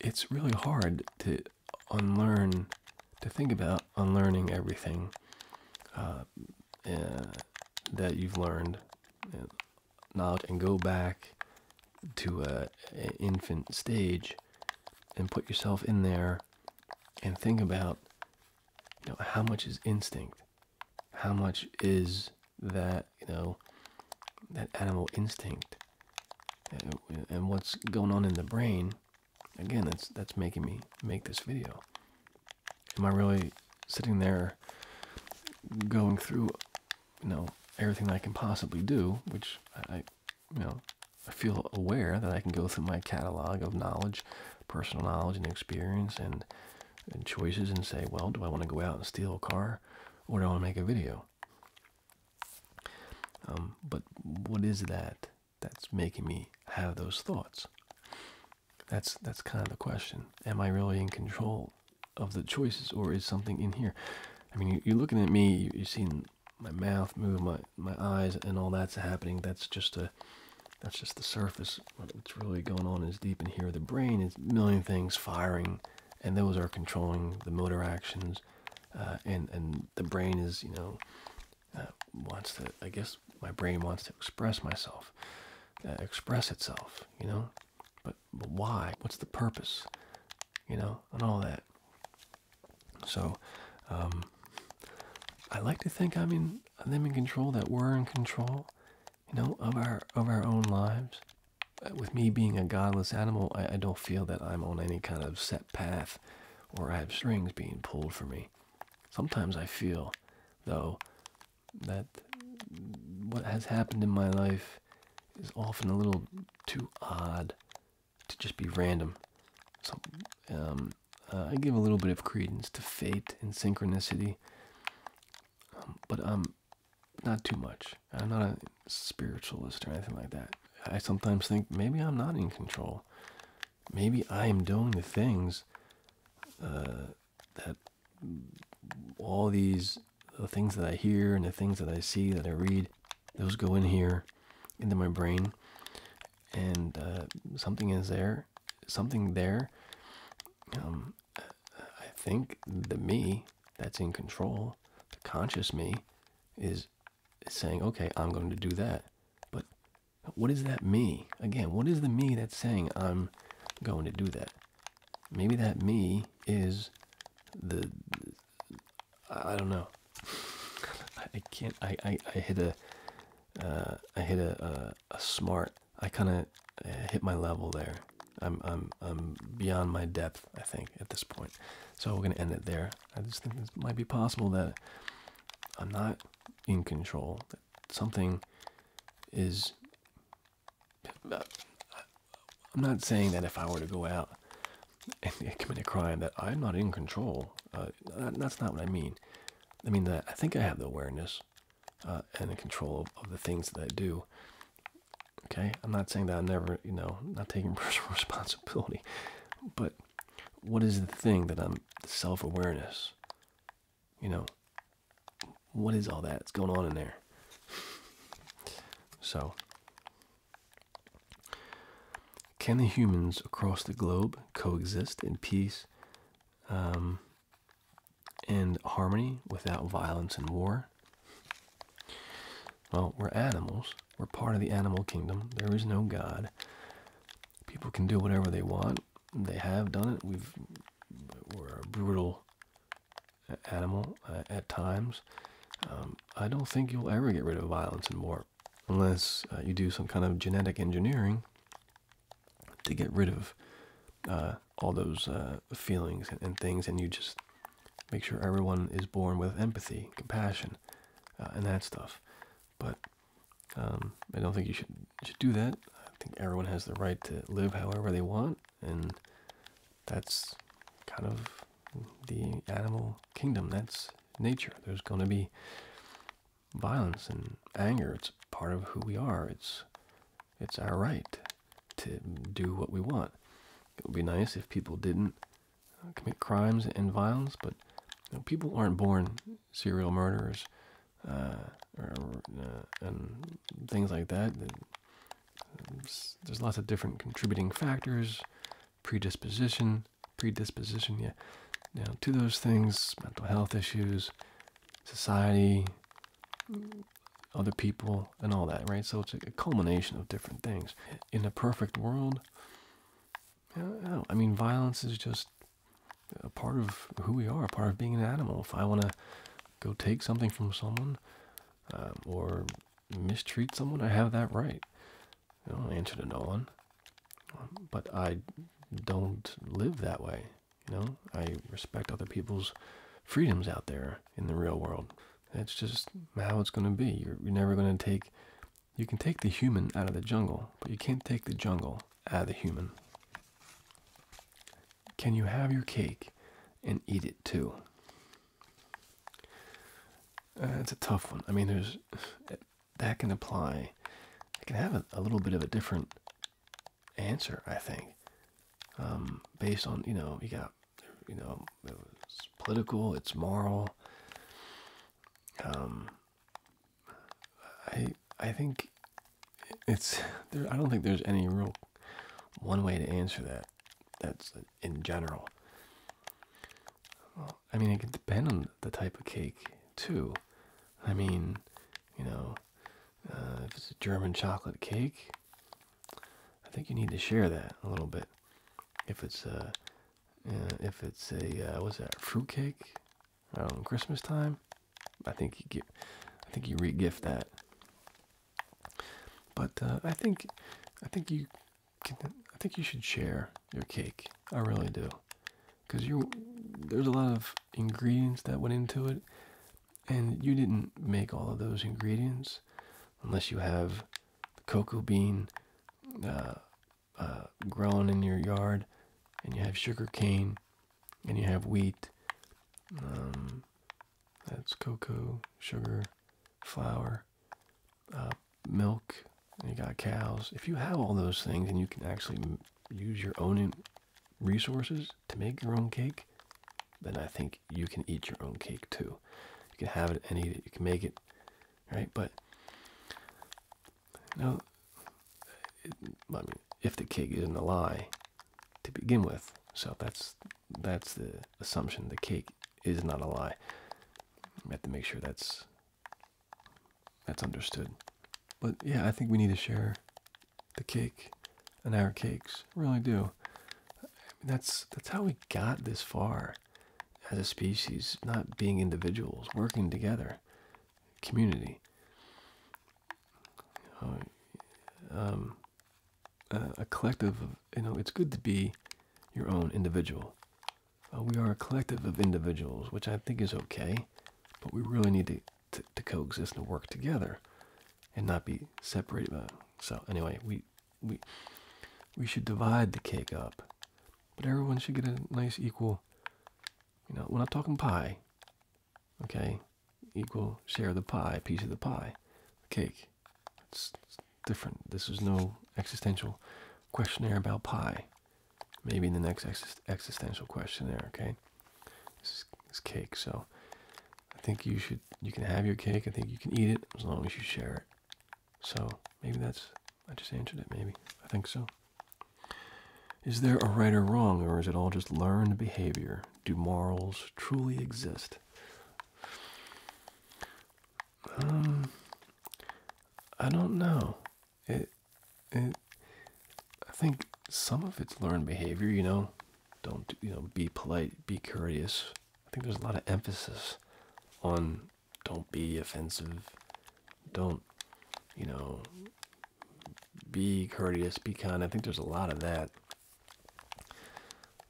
it's really hard to unlearn, to think about unlearning everything uh, uh, that you've learned, knowledge, and go back to an infant stage and put yourself in there and think about you know, how much is instinct, how much is that you know that animal instinct uh, and what's going on in the brain again that's that's making me make this video am i really sitting there going through you know everything i can possibly do which i you know i feel aware that i can go through my catalog of knowledge personal knowledge and experience and, choices and say well do i want to go out and steal a car or do i want to make a video um, but what is that that's making me have those thoughts? That's that's kind of the question. Am I really in control of the choices, or is something in here? I mean, you're looking at me. You're seeing my mouth move, my my eyes, and all that's happening. That's just a that's just the surface. What's really going on is deep in here. The brain is a million things firing and those are controlling the motor actions, uh, and and the brain is you know uh, wants to I guess my brain wants to express myself, uh, express itself, you know, but, but why? What's the purpose? You know, and all that. So, um, I like to think I'm in i in control. That we're in control, you know, of our of our own lives with me being a godless animal, I, don't feel that I'm on any kind of set path or I have strings being pulled for me. Sometimes I feel, though, that what has happened in my life is often a little too odd to just be random. So, um, uh, I give a little bit of credence to fate and synchronicity, um, but um, not too much. I'm not a spiritualist or anything like that. I sometimes think maybe I'm not in control. Maybe I am doing the things uh, that all these the things that I hear and the things that I see that I read, those go in here into my brain, and uh, something is there, something there. Um, I think the me that's in control, the conscious me, is saying, okay, I'm going to do that. But what is that me? Again, what is the me that's saying I'm going to do that? Maybe that me is the, I don't know. (laughs) I can't, I, I, hit a, uh, hit a, a smart, I kind of uh, hit my level there. I'm, I'm, I'm beyond my depth, I think, at this point. So we're going to end it there. I just think it might be possible that I'm not in control. That something is. Uh, I'm not saying that if I were to go out and (laughs) commit a crime that I'm not in control. Uh, that's not what I mean. I mean that I think I have the awareness uh, and the control of the things that I do. Okay, I'm not saying that I'm never, you know, not taking (laughs) personal responsibility, but what is the thing that I'm self awareness? You know, what is all that that's going on in there? So, can the humans across the globe coexist in peace um, and harmony without violence and war? Well, we're animals, we're part of the animal kingdom. There is no God. People can do whatever they want. They have done it. We've we're a brutal uh, animal uh, at times. Um, I don't think you'll ever get rid of violence and war unless uh, you do some kind of genetic engineering to get rid of all those feelings and things, and you just make sure everyone is born with empathy, compassion, uh, and that stuff. But um, I don't think you should should do that. I think everyone has the right to live however they want, and that's kind of the animal kingdom. That's nature. There's going to be violence and anger. It's part of who we are. It's it's our right to do what we want. It would be nice if people didn't uh, commit crimes and violence, but people aren't born serial murderers uh, uh, and things like that. There's lots of different contributing factors, predisposition, predisposition, yeah, to those things, mental health issues, society, other people, and all that, right? So it's a culmination of different things. In a perfect world, I, I mean, violence is just a part of who we are, a part of being an animal. If I want to go take something from someone um, or mistreat someone, I have that right. I don't answer to no one. But I don't live that way. You know, I respect other people's freedoms out there in the real world. That's just how it's going to be. you're never going to take you can take the human out of the jungle, but you can't take the jungle out of the human. Can you have your cake and eat it too? That's uh, a tough one. I mean, there's that can apply. It can have a, little bit of a different answer, I think, um, based on you know you got you know it's political, it's moral, um, I I think it's I don't think there's any real one way to answer that. That's in general. I mean, it could depend on the type of cake too. I mean, you know, uh, if it's a German chocolate cake, I think you need to share that a little bit. If it's a uh, if it's a uh, what's that fruitcake around oh, Christmas time, I think you get, I think you re-gift that. But uh, I think, I think you I think you should share your cake. I really do, because you there's a lot of ingredients that went into it, and you didn't make all of those ingredients, unless you have the cocoa bean. Uh, uh, grown in your yard, and you have sugar cane, and you have wheat. Um, that's cocoa, sugar, flour, uh, milk. you got cows. If you have all those things, and you can actually use your own resources to make your own cake, then I think you can eat your own cake too. You can have it and eat it. You can make it right? But now, I mean, if the cake isn't a lie to begin with, so that's that's the assumption. The cake is not a lie. I have to make sure that's that's understood. But yeah, I think we need to share the cake and our cakes. Really do. I mean, that's that's how we got this far as a species, not being individuals, working together, community. Uh, um, a collective of, you know, it's good to be your own individual. Uh, we are a collective of individuals, which I think is okay, but we really need to, to, to coexist and work together and not be separated. so anyway, we, we, we should divide the cake up but everyone should get a nice equal, you know, we're not talking pie, okay? Equal share of the pie, piece of the pie, cake. It's, different. This is no existential questionnaire about pie. Maybe in the next existential questionnaire, okay? This is, cake, so I think you should, you can have your cake. I think you can eat it as long as you share it. So maybe that's, I just answered it, maybe. I think so. Is there a right or wrong, or is it all just learned behavior? Do morals truly exist? Um, I don't know. It, it, I think some of it's learned behavior, you know. Don't, you know, be polite, be courteous. I think there's a lot of emphasis on don't be offensive don't you know be courteous be kind i think there's a lot of that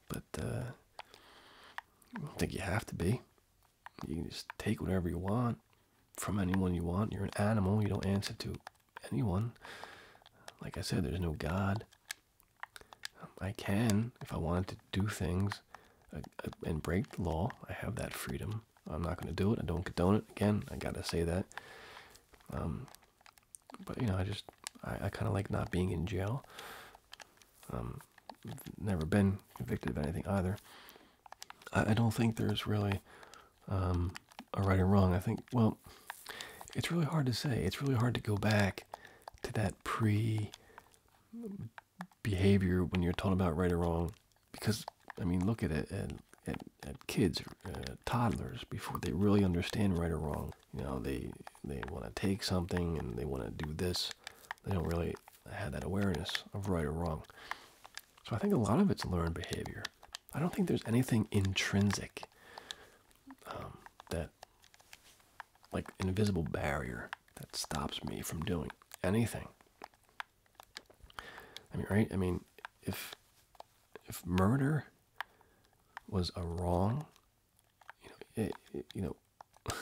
but uh i don't think you have to be you can just take whatever you want from anyone you want you're an animal you don't answer to anyone like i said there's no god i can if i wanted to do things and break the law. I have that freedom. I'm not going to do it. I don't condone it. Again, I got to say that. Um, but you know, I just I, kind of like not being in jail. Um, never been convicted of anything either. I, don't think there's really um, a right or wrong. I think well, it's really hard to say. It's really hard to go back to that pre behavior when you're talking about right or wrong because I mean, look at it at, at, kids, uh, toddlers, before they really understand right or wrong. You know, they they want to take something and they want to do this. They don't really have that awareness of right or wrong. So I think a lot of it's learned behavior. I don't think there's anything intrinsic um, that, like, invisible barrier that stops me from doing anything. I mean, right? I mean, if if murder was a wrong, you know, you know, (laughs)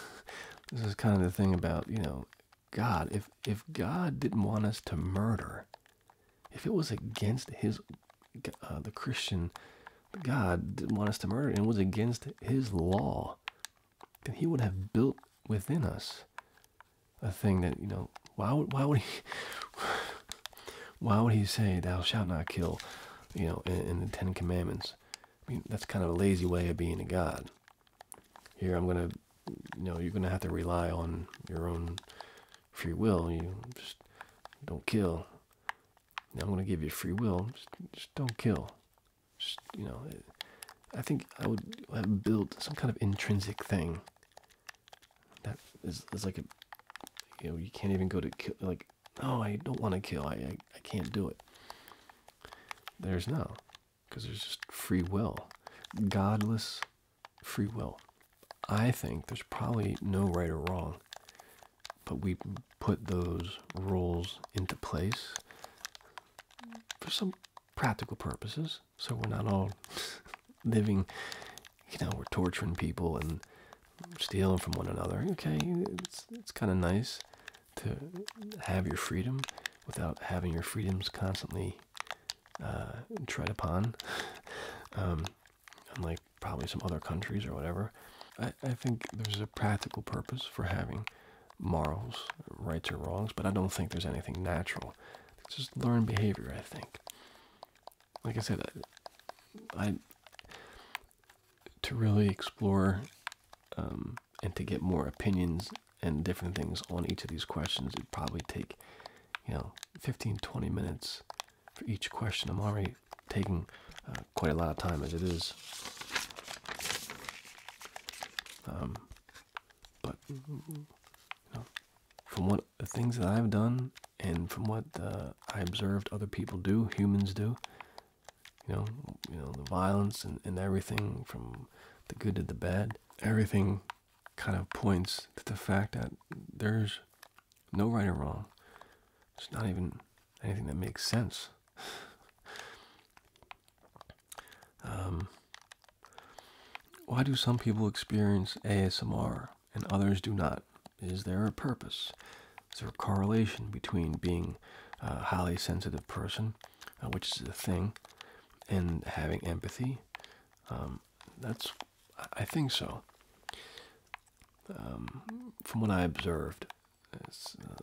this is kind of the thing about you know, God. If if God didn't want us to murder, if it was against His, uh, the Christian, God didn't want us to murder, and it was against His law then he would have built within us a thing that you know why would why would he why would he say thou shalt not kill you know in, the ten commandments i mean that's kind of a lazy way of being a god here i'm gonna you know you're gonna have to rely on your own free will you just don't kill now i'm gonna give you free will just don't kill just you know, I think I would have built some kind of intrinsic thing that is, like a, you know, you can't even go to kill, like, oh, I don't want to kill, I, I can't do it. There's no, because there's just free will, godless free will. I think there's probably no right or wrong, but we put those rules into place for some practical purposes, so we're not all (laughs) living, you know, we're torturing people and stealing from one another. Okay, it's, it's kind of nice to have your freedom without having your freedoms constantly uh, tried upon, (laughs) um, unlike probably some other countries or whatever. I, I think there's a practical purpose for having morals, rights or wrongs, but I don't think there's anything natural. It's just learned behavior, I think. Like I said, I, to really explore um, and to get more opinions and different things on each of these questions, it'd probably take, you know, 15, 20 minutes for each question. I'm already taking uh, quite a lot of time as it is. Um, but you know, from what the things that I've done and from what uh, I observed other people do, humans do, you know, you know the violence and, and everything from the good to the bad, everything kind of points to the fact that there's no right or wrong. It's not even anything that makes sense. Um, why do some people experience ASMR and others do not? Is there a purpose? Is there a correlation between being a highly sensitive person, uh, which is the thing, and having empathy? Um, that's, I think so. Um, from what I observed, uh,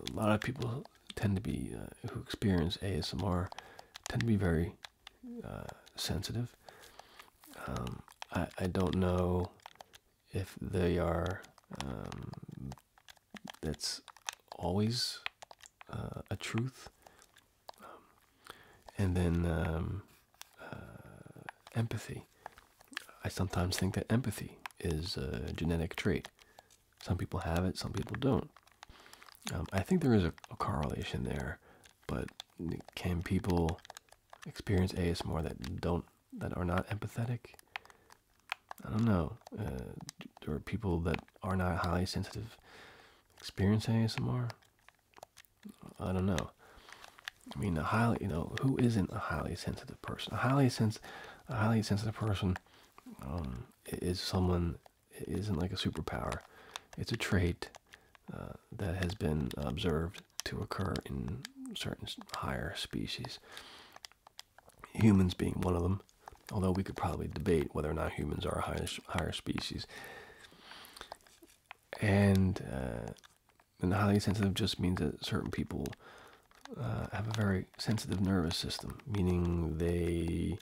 a lot of people tend to be uh, who experience ASMR tend to be very uh, sensitive. Um, I, I don't know if they are. Um, that's always uh, a truth. Um, and then empathy. I sometimes think that empathy is a genetic trait. Some people have it, some people don't. Um, I think there is a, correlation there, but can people experience ASMR that don't that are not empathetic? I don't know. Uh, or people that are not highly sensitive experience ASMR? I don't know. I mean, a highly you know who isn't a highly sensitive person? A highly sense, a highly sensitive person um, is someone it isn't like a superpower. It's a trait uh, that has been observed to occur in certain higher species. Humans being one of them, although we could probably debate whether or not humans are a higher, higher species. And, uh, highly sensitive just means that certain people uh, have a very sensitive nervous system, meaning they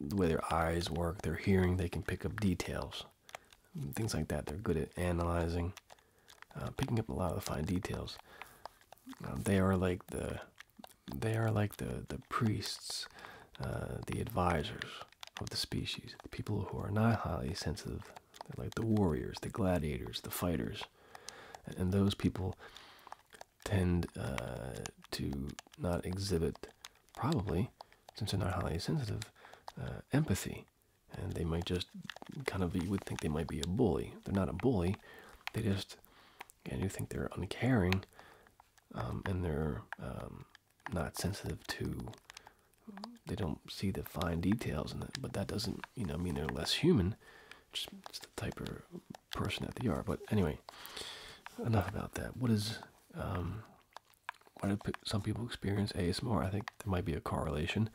the way their eyes work, their hearing, they can pick up details, things like that. They're good at analyzing, uh, picking up a lot of the fine details. Um, they are like the, they are like the the priests, uh, the advisors of the species. The people who are not highly sensitive, they're like the warriors, the gladiators, the fighters, and those people tend uh, to not exhibit, probably, since they're not highly sensitive, uh, empathy. And they might just kind of, you would think they might be a bully. They're not a bully. They just, and you think they're uncaring um, and they're um, not sensitive to, they don't see the fine details in it. But that doesn't, you know, mean they're less human just, just the type of person that they are. But anyway, enough about that. What is um, why do some people experience ASMR? I think there might be a correlation,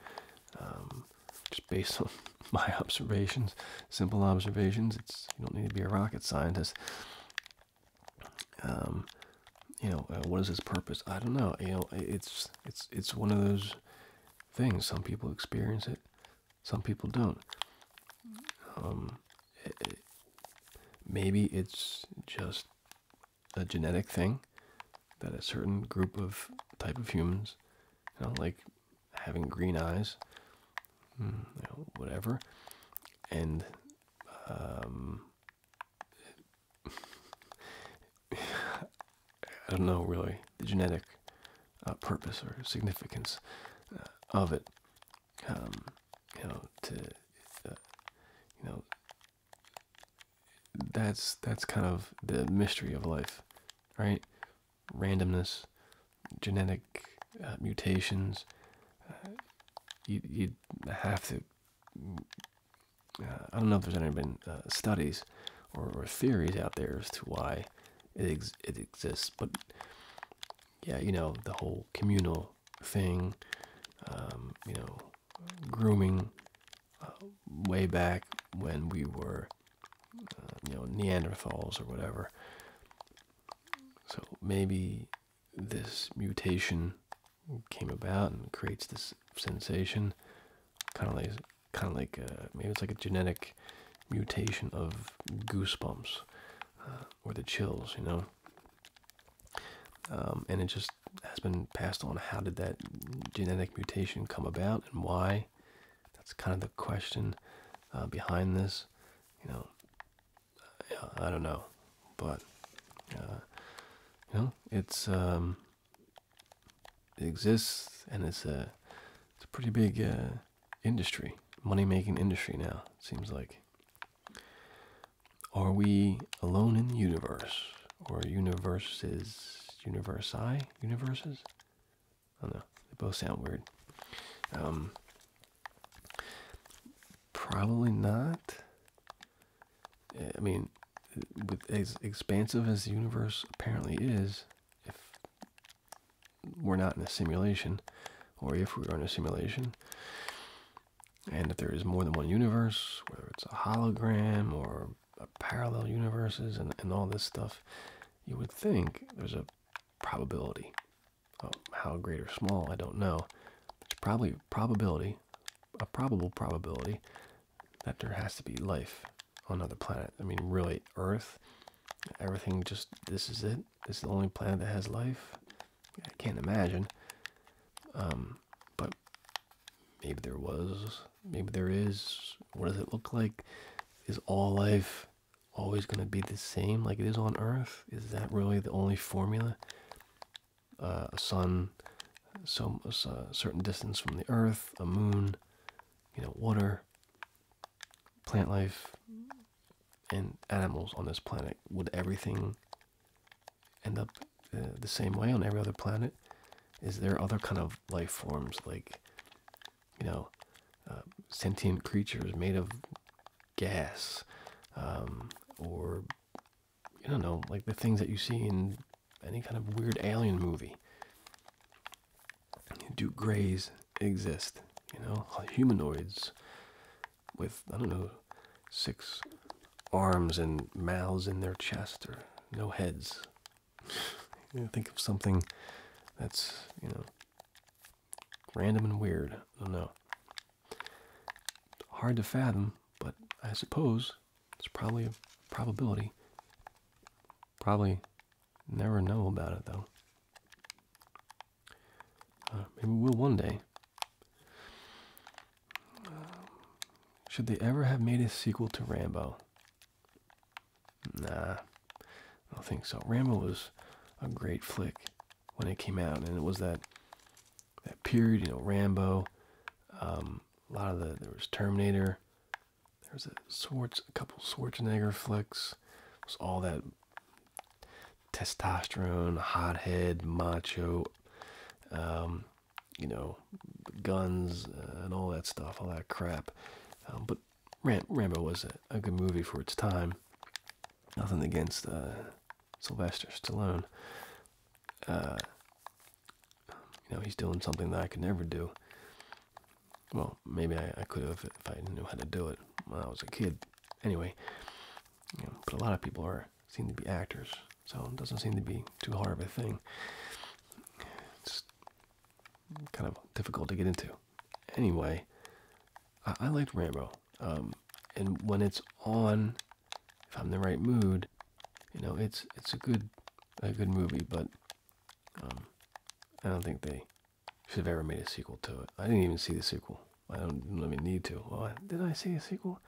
um, just based (laughs) on my observations, simple observations. It's you don't need to be a rocket scientist. Um, you know, uh, what is its purpose? I don't know. You know, it's it's it's one of those things. Some people experience it. Some people don't. Um, eh, eh, maybe it's just a genetic thing that a certain group of type of humans, like having green eyes, hmm, whatever, and um, (laughs) I don't know really the genetic uh, purpose or significance uh, of it. Um, you know, to uh, you know, that's that's kind of the mystery of life, right? Randomness, genetic mutations. you you have to. I don't know if there's any been uh, studies or, theories out there as to why it it exists, but yeah, you know, the whole communal thing, um, you know, grooming uh, way back when we were, uh, you know, Neanderthals or whatever. So maybe this mutation came about and creates this sensation, kind of like, kind of like, uh, maybe it's like a genetic mutation of goosebumps or the chills, you know. Um, and it just has been passed on. How did that genetic mutation come about, and why? That's kind of the question uh, behind this. You know, I don't know, but uh, you know, it's um, it exists, and it's a it's a pretty big uh, industry, money making industry now, it seems like. Are we alone in the universe? Or universes? Universi? Universes? I don't know. They both sound weird. Um, probably not. Eh, I mean, with as expansive as the universe apparently is, if we're not in a simulation, or if we are in a simulation, and that there is more than one universe, whether it's a hologram or parallel universes and, all this stuff, you would think there's a probability. Oh, how great or small, I don't know. It's probably probability, a probable probability, that there has to be life on another planet. I mean, really, Earth, everything just, this is it. This is the only planet that has life. I can't imagine. Um, but maybe there was. Maybe there is. What does it look like? Is all life always going to be the same like it is on Earth? Is that really the only formula? Uh, a sun, some a certain distance from the Earth, a moon, you know, water, plant life, and animals on this planet. Would everything end up uh, the same way on every other planet? Is there other kind of life forms like, you know, uh, sentient creatures made of gas um, or, you don't know, like the things that you see in any kind of weird alien movie? Do Gray's exist. You know, humanoids with, I don't know, six arms and mouths in their chest or no heads. think of something that's, you know, random and weird. I don't know. Hard to fathom, but I suppose it's probably a probability. Probably never know about it though. Uh, maybe we will one day. Uh, should they ever have made a sequel to Rambo? Nah, I don't think so. Rambo was a great flick when it came out, and it was that that period. You know, Rambo. Um, a lot of the there was Terminator. There was a a couple Schwarzenegger flicks. It was all that testosterone, hothead, macho, um, you know, guns uh, and all that stuff, all that crap. Um, but Rambo was a, good movie for its time. Nothing against uh, Sylvester Stallone. Uh, you know, he's doing something that I could never do. Well, maybe I could have if I knew how to do it when I was a kid anyway, but a lot of people are seem to be actors, so it doesn't seem to be too hard of a thing. It's kind of difficult to get into. Anyway, I, I liked Rambo, um, and when it's on, if I'm in the right mood, you know, it's it's a good a good movie, but um, I don't think they should have ever made a sequel to it. I didn't even see the sequel. I don't even need to. Well, did I see a sequel?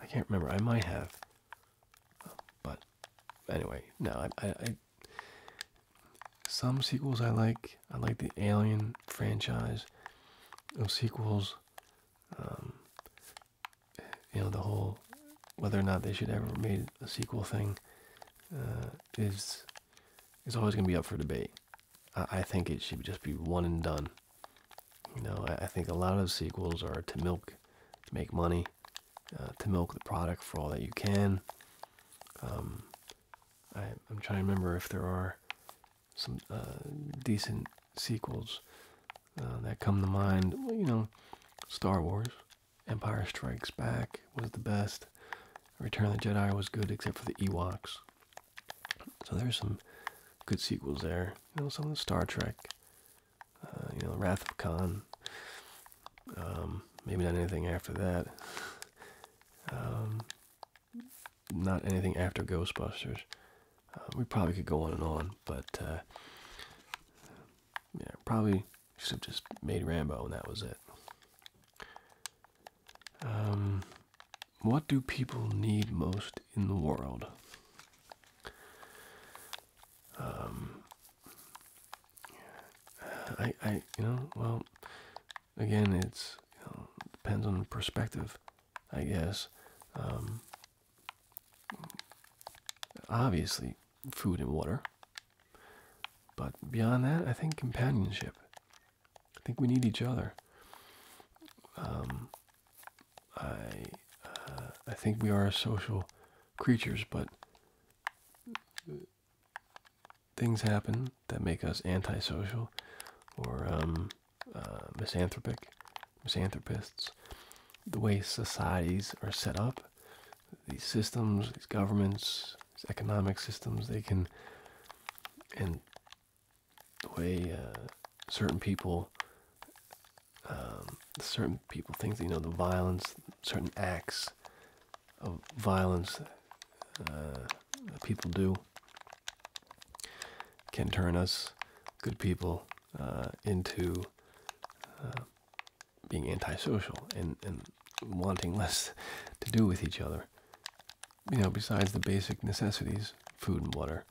I can't remember. I might have. But anyway, no, I, I, some sequels I like. I like the Alien franchise. of sequels, um, you know, the whole whether or not they should ever made a sequel thing uh, is is always going to be up for debate. I, think it should just be one and done. You know, I, think a lot of sequels are to milk, to make money, uh, to milk the product for all that you can. Um, I, am trying to remember if there are some uh, decent sequels uh, that come to mind. you know, Star Wars, Empire Strikes Back was the best. Return of the Jedi was good, except for the Ewoks. So there's some good sequels there. You know, some of the Star Trek, uh, you know, Wrath of Khan. Um, maybe not anything after that. Um, not anything after Ghostbusters. Uh, we probably could go on and on, but uh, yeah, probably should have just made Rambo and that was it. Um, what do people need most in the world? Um, I, you know, well, again, it depends on perspective, I guess. Um, obviously, food and water. But beyond that, I think companionship I think we need each other. Um, I uh, I think we are social creatures, but things happen that make us antisocial or um, uh, misanthropic, misanthropists. The way societies are set up, these systems, these governments, these economic systems, they can and the way uh, certain people, um, certain people, things you know, the violence, certain acts of violence uh, that people do can turn us good people uh, into being antisocial and wanting less to do with each other you know, besides the basic necessities, food and water,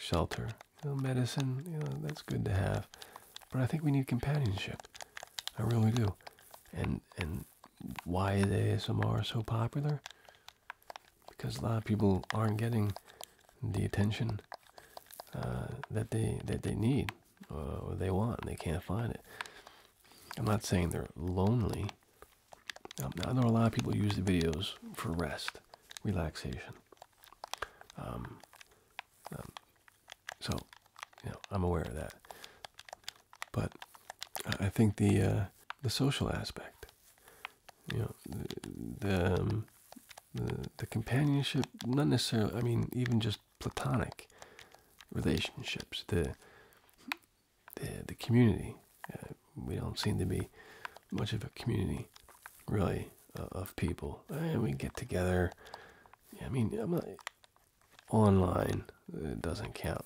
shelter, medicine, you know, that's good to have. But I think we need companionship. I really do. And and why is ASMR so popular? Because a lot of people aren't getting the attention uh, that they that they need uh, or they want. And they can't find it. I'm not saying they're lonely. Um, I know a lot of people use the videos for rest, relaxation. Um, um, so, you know, I'm aware of that. But I think the uh, the social aspect, you know, the the, companionship, not necessarily. I mean, even just platonic relationships, the, the community. Uh, we don't seem to be much of a community, really, uh, of people. And we get together. I mean, online it uh, doesn't count.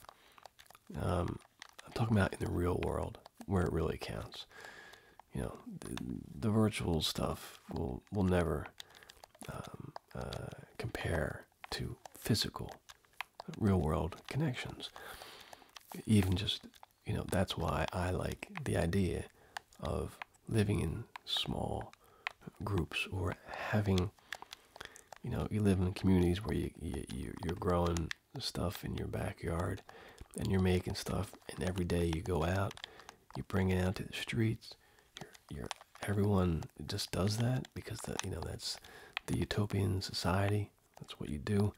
Um, I'm talking about in the real world where it really counts. You know, the, virtual stuff will will never um, compare to physical, real world connections. Even just, you know, that's why I like the idea of living in small groups or having, you know, you live in communities where you, you, are growing stuff in your backyard and you're making stuff and every day you go out you bring it out to the streets you're, you're everyone just does that because that you know that's the utopian society. That's what you do.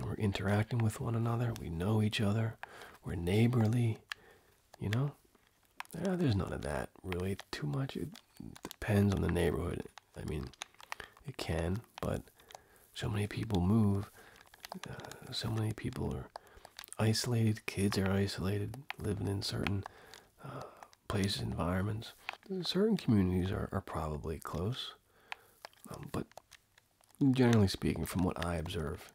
we're interacting with one another. We know each other. We're neighborly. You know? there's none of that really too much. It depends on the neighborhood. I mean, it can, but so many people move. Uh, so many people are isolated. Kids are isolated, living in certain uh, places, environments. Certain communities are, are probably close, um, but generally speaking, from what I observe,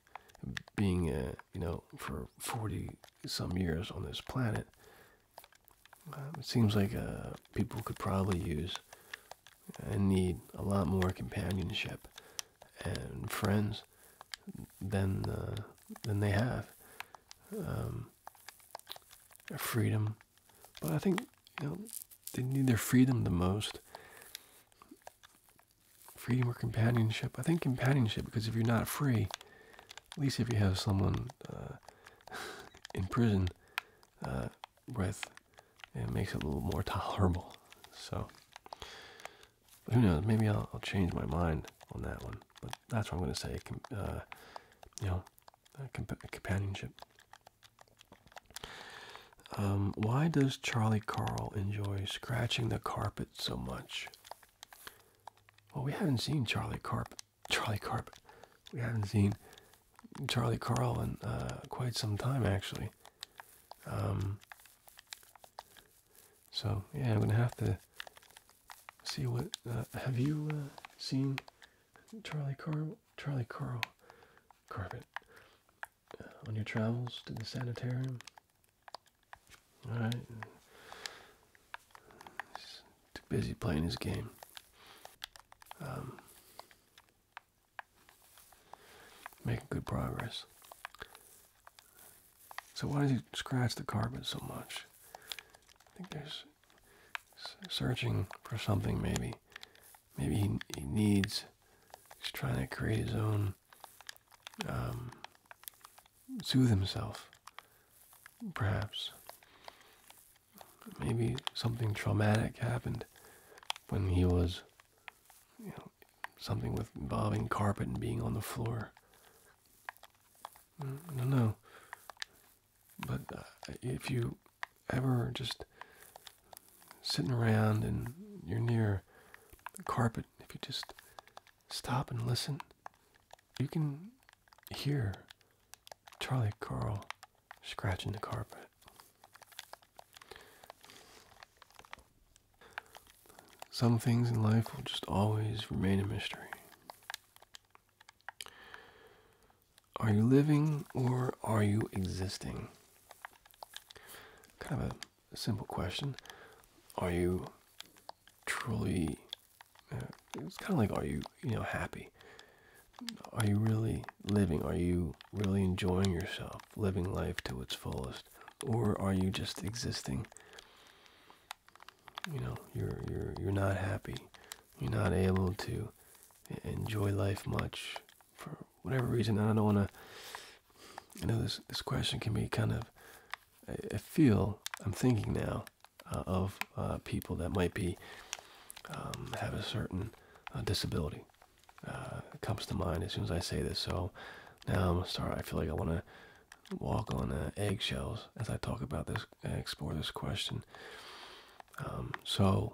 being uh, you know for forty some years on this planet, um, it seems like uh, people could probably use and need a lot more companionship and friends than uh, than they have. Um, freedom. But I think you know they need their freedom the most. Freedom or companionship? I think companionship because if you're not free, at least if you have someone uh, (laughs) in prison uh, with, it makes it a little more (laughs) tolerable. So who knows? Maybe I'll, change my mind on that one. But that's what I'm going to say. Uh, you know, know, companionship. Um, why does Charlie Carl enjoy scratching the carpet so much? Well, we haven't seen Charlie Carpet. Charlie Carpet. We haven't seen Charlie Carl in uh, quite some time, actually. Um, so yeah, I'm gonna have to see what. Uh, have you uh, seen Charlie Car Charlie Carl Carpet uh, on your travels to the sanitarium. All right, too busy playing his game. Um, making good progress. So why does he scratch the carpet so much? I think there's searching for something, maybe. Maybe he, needs, he's trying to create his own, um, soothe himself, perhaps. Maybe something traumatic happened when he was, you know, something with involving carpet and being on the floor. Mm, I don't know. But uh, if you ever just sitting around and you're near the carpet, if you just stop and listen, you can hear Charlie Carl scratching the carpet. Some things in life will just always remain a mystery. Are you living or are you existing? Kind of a simple question. Are you truly? Uh, it's kind of like, are you you know happy? Are you really living? Are you really enjoying yourself, living life to its fullest, or are you just existing? You know, you're you're you're not happy. You're not able to enjoy life much for whatever reason. I don't want to. You know this this question can be kind of. I, feel I'm thinking now uh, of uh, people that might be um, have a certain uh, disability. comes to mind as soon as I say this. So now I'm sorry. I feel like I want to walk on eggshells as I talk about this explore this question. Um, so,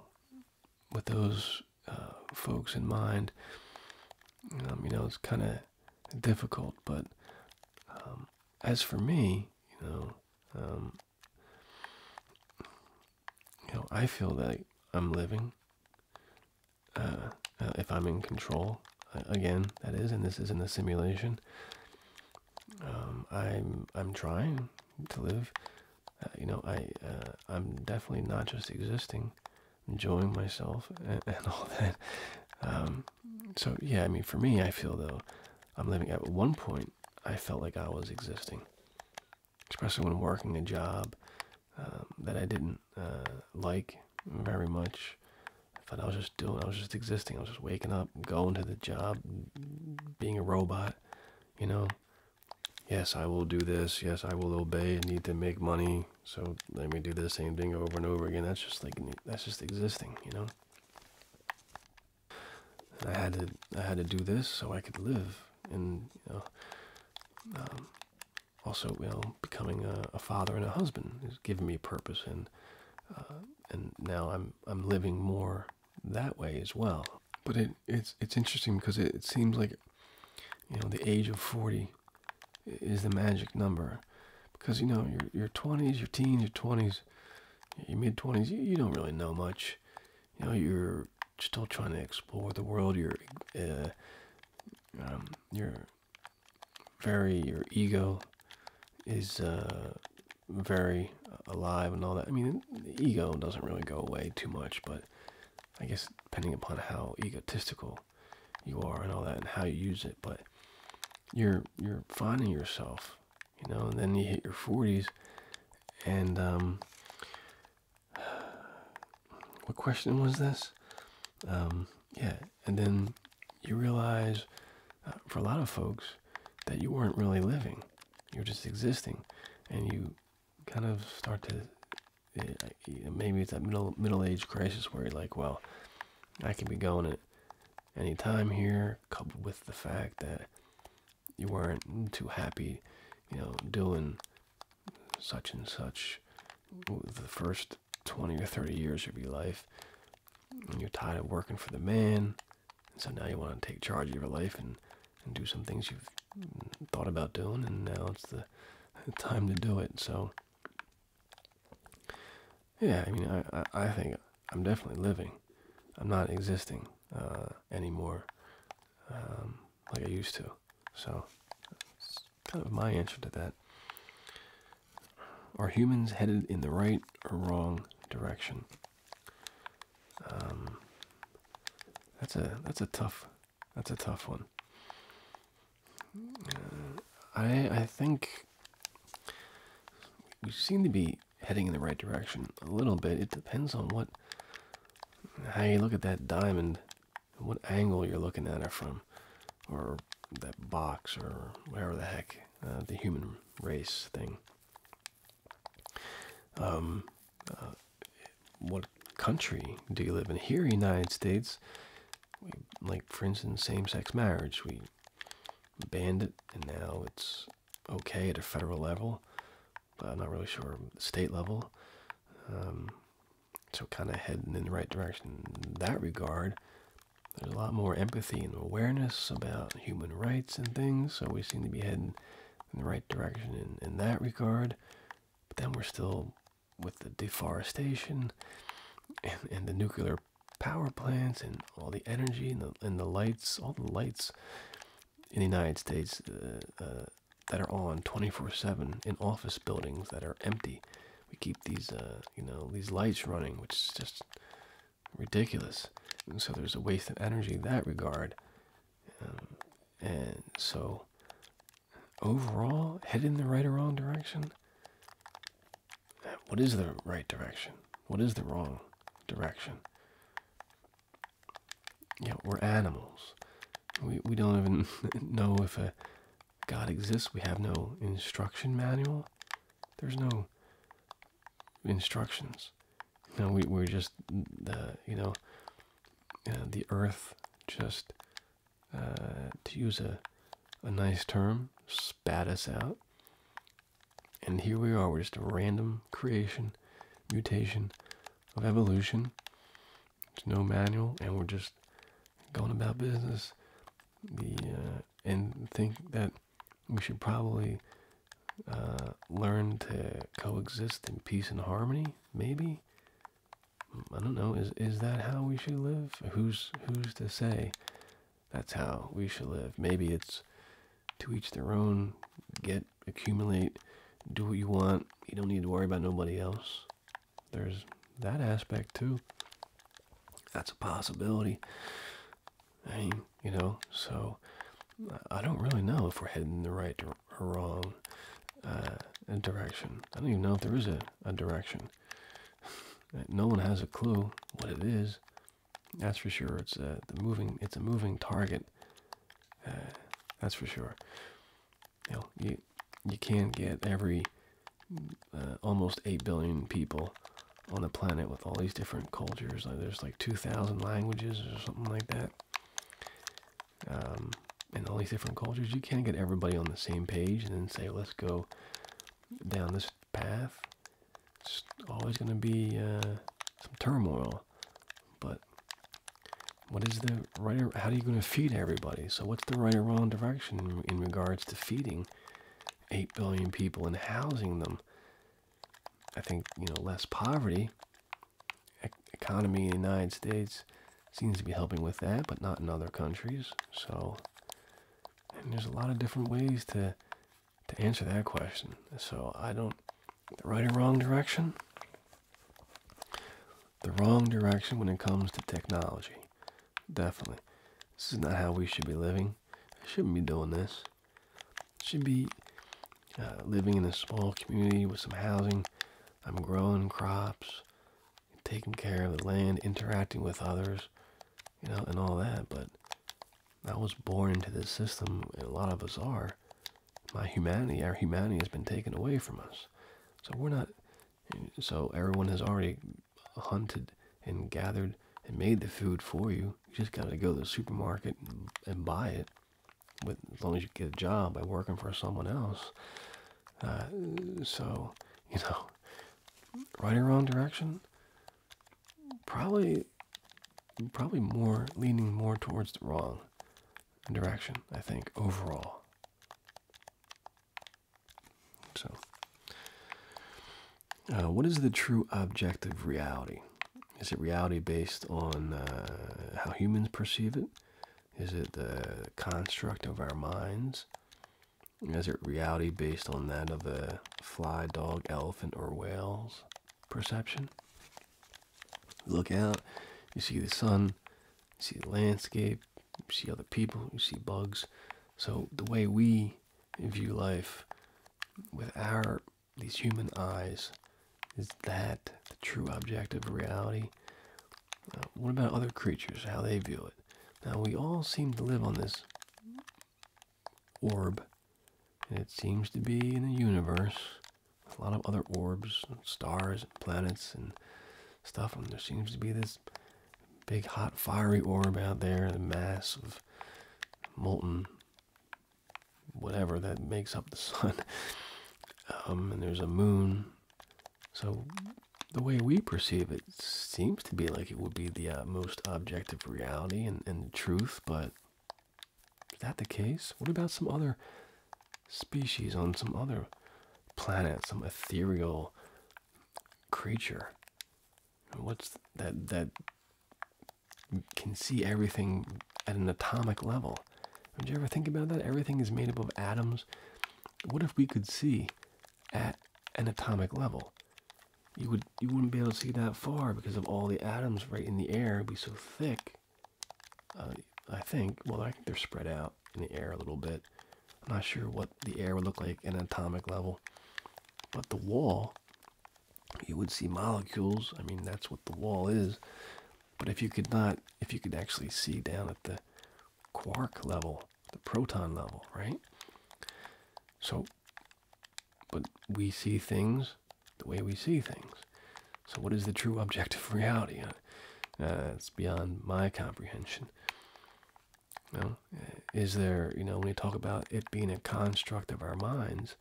with those uh, folks in mind, um, you know, it's kind of difficult. But um, as for me, you know, you know, I feel like I'm living. Uh, uh, if I'm in control, again, that is, and this isn't the simulation. I'm I'm trying to live uh, you know, I uh, I'm definitely not just existing, enjoying myself (laughs) and, all that. Um, so yeah, I mean, for me, I feel though I'm living. At one point, I felt like I was existing, especially when working a job um, that I didn't uh, like very much. I thought I was just doing. I was just existing. I was just waking up, going to the job, being a robot you know yes i will do this yes i will obey I need to make money so let me do the same thing over and over again that's just like that's just existing you know i had to i had to do this so i could live and you know um, also you know becoming a, father and a husband is giving me purpose and uh, and now i'm i'm living more that way as well. But it it's it's interesting because it, seems like you know the age of 40 is the magic number because you know your your 20s, your teens, your 20s, your mid 20s, you, don't really know much. You know you're still trying to explore the world. You're uh, um, you're very your ego is uh, very uh, alive and all that. I mean, ego doesn't really go away too much, but I guess depending upon how egotistical you are and all that, and how you use it, but you're you're finding yourself, you know. And then you hit your forties, and um, (sighs) what question was this? Um, yeah, and then you realize, uh, for a lot of folks, that you weren't really living. You're just existing, and you kind of start to eh, maybe it's that middle middle age crisis where you're like, well, I can be going at any time here, coupled with the fact that you weren't too happy, you know, doing such and such the first 20 or 30 years of your life, and you're tired of working for the man so now you want to take charge of your life and, and do some things you've thought about doing, and now it's the time to do it. So, yeah, I mean, I, I, think I'm definitely living. I'm not existing uh, anymore um, like I used to. So, that's kind of my answer to that. Are humans headed in the right or wrong direction? Um, that's a that's a tough that's a tough one. Uh, I I think we seem to be heading in the right direction a little bit. It depends on what how you look at that diamond, what angle you're looking at it from, or that box or whatever the heck uh, the human race thing. Um, uh, what country do you live in? Here, United States, we, like for in same-sex marriage, we banned it, and now it's okay at a federal level. But I'm not really sure state level. Um, so kind of heading in the right direction in that regard. There's a lot more empathy and awareness about human rights and things, so we seem to be heading in the right direction in, in that regard. But then we're still with the deforestation and, the nuclear power plants and all the energy and the, and the lights, all the lights in the United States uh, uh, that are on 24/7 in office buildings that are empty. We keep these, uh, you know, these lights running, which is just ridiculous. so there's a waste of energy in that regard. Um, and so, overall, head in the right or wrong direction. What is the right direction? What is the wrong direction? Yeah, we're animals. We, we don't even (laughs) know if a God exists. We have no instruction manual. There's no instructions. Now we we're just the you know uh, the earth just uh, to use a a nice term spat us out, and here we are. We're just a random creation, mutation of evolution. There's no manual, and we're just going about business. The uh, and think that we should probably uh, learn to coexist in peace and harmony. Maybe hmm, I don't know. Is is that how we should live? Who's who's to say? That's how we should live. Maybe it's to each their own. Get accumulate, do what you want. You don't need to worry about nobody else. There's that aspect too. That's a possibility. I mean, you know, so I don't really know if we're heading the right direction a wrong uh, direction. I don't even know if there is a, direction. no one has a clue what it is. That's for sure. It's a uh, moving. It's a moving target. Uh, that's for sure. You know, you you can't get every almost eight billion people on the planet with all these different cultures. there's like two thousand languages or something like that. Um, in all these different cultures, you can't get everybody on the same page and then say, let's go down this path. It's always going to be uh, some turmoil. But what is the right or how are you going to feed everybody? So, what's the right or wrong direction in regards to feeding 8 billion people and housing them? I think, you know, less poverty economy in the United States seems to be helping with that, but not in other countries. So, and there's a lot of different ways to to answer that question. So I don't the right or wrong direction. The wrong direction when it comes to technology, definitely. This is not how we should be living. I shouldn't be doing this. Should be uh, living in a small community with some housing. I'm growing crops, taking care of the land, interacting with others, you know, and all that. But I was born into this system, and a lot of us are. My humanity, our humanity has been taken away from us. So we're not, so everyone has already hunted and gathered and made the food for you. You just got to go to the supermarket and buy it. But as long as you get a job by working for someone else. Uh, so, you know, right or wrong direction, probably, probably more leaning more towards the wrong direction. I think overall. So, uh, what is the true objective reality? Is it reality based on uh, how humans perceive it? Is it the construct of our minds? Is it reality based on that of a fly, dog, elephant, or whale's perception? look out, you see the sun, you see the landscape, you see other people, you see bugs. So the way we view life with our these human eyes is that the true objective reality? Uh, what about other creatures, how they view it? Now, we all seem to live on this orb, and it seems to be in the universe. A lot of other orbs, stars, planets, and stuff, and there seems to be this big, hot, fiery orb out there, the mass of molten whatever that makes up the (laughs) sun. Um, and there's a moon. So the way we perceive it seems to be like it would be the uh, most objective reality and, and truth, but is that the case? What about some other species on some other planet, some ethereal creature? What's that that can see everything at an atomic level? all. Did you ever think about that? Everything is made up of atoms. What if we could see at an atomic level? You would you wouldn't be able to see that far because of all the atoms right in the air. be so thick. Uh, I think. Well, I think they're spread out in the air a little bit. I'm not sure what the air would look like at an atomic level, but the wall. You would see molecules. I mean, that's what the wall is. But if you could not, if you could actually see down at the quark level, the proton level, right? So, but we see things the way we see things. So, what is the true (laughs) objective reality? Uh, uh, it's beyond my comprehension. You uh, is there, you know, when you talk about it being a construct of our minds,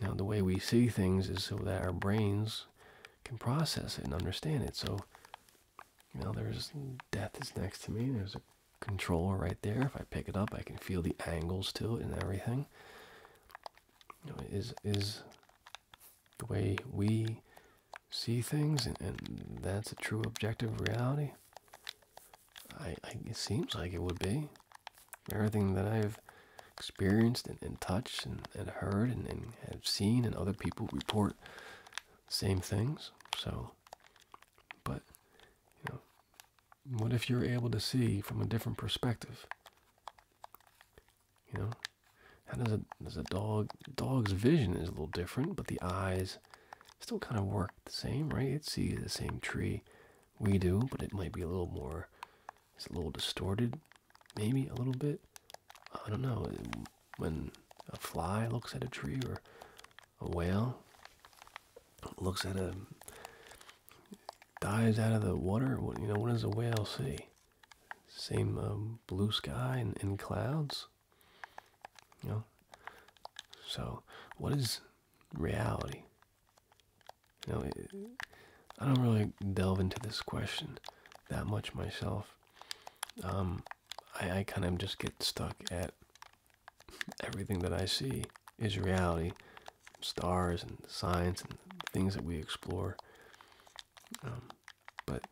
you know, the way we see things is so that our brains can process it and understand it. So, you know, there's death is next to me. There's a controller right there. If I pick it up, I can feel the angles to it and everything. You is is the way we see things, and, that's a true objective reality. I it seems like it would be. Everything that I've experienced and, touched and, heard and, and have seen, and other people report same things. So, but you know, what if you're able to see from a different perspective? You know, how does a does a dog dog's vision is a little different, but the eyes still kind of work the same, right? It sees the same tree we do, but it might be a little more, it's a little distorted maybe a little bit. I don't know. When a fly looks at a tree or a whale looks at a dives out of the water, what you know, what does a whale see? Same um, blue sky and, clouds. You know. So, what is reality? You know, I don't really delve into this question that much myself. Um, I, kind of just get stuck at everything that I see is reality, stars and science and things that we explore. Um, but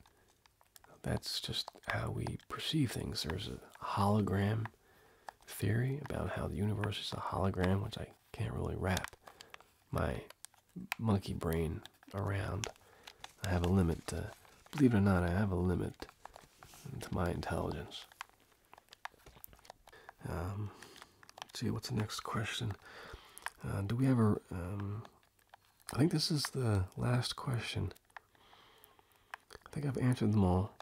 that's just how we perceive things. There's a hologram theory about how the universe is a hologram, which I can't really wrap my monkey brain around. I have a limit to, believe it or not, I have a limit to my intelligence. Um, let's see, what's the next question? Uh, do we have a? Um, I think this is the last question. I think I've answered them all.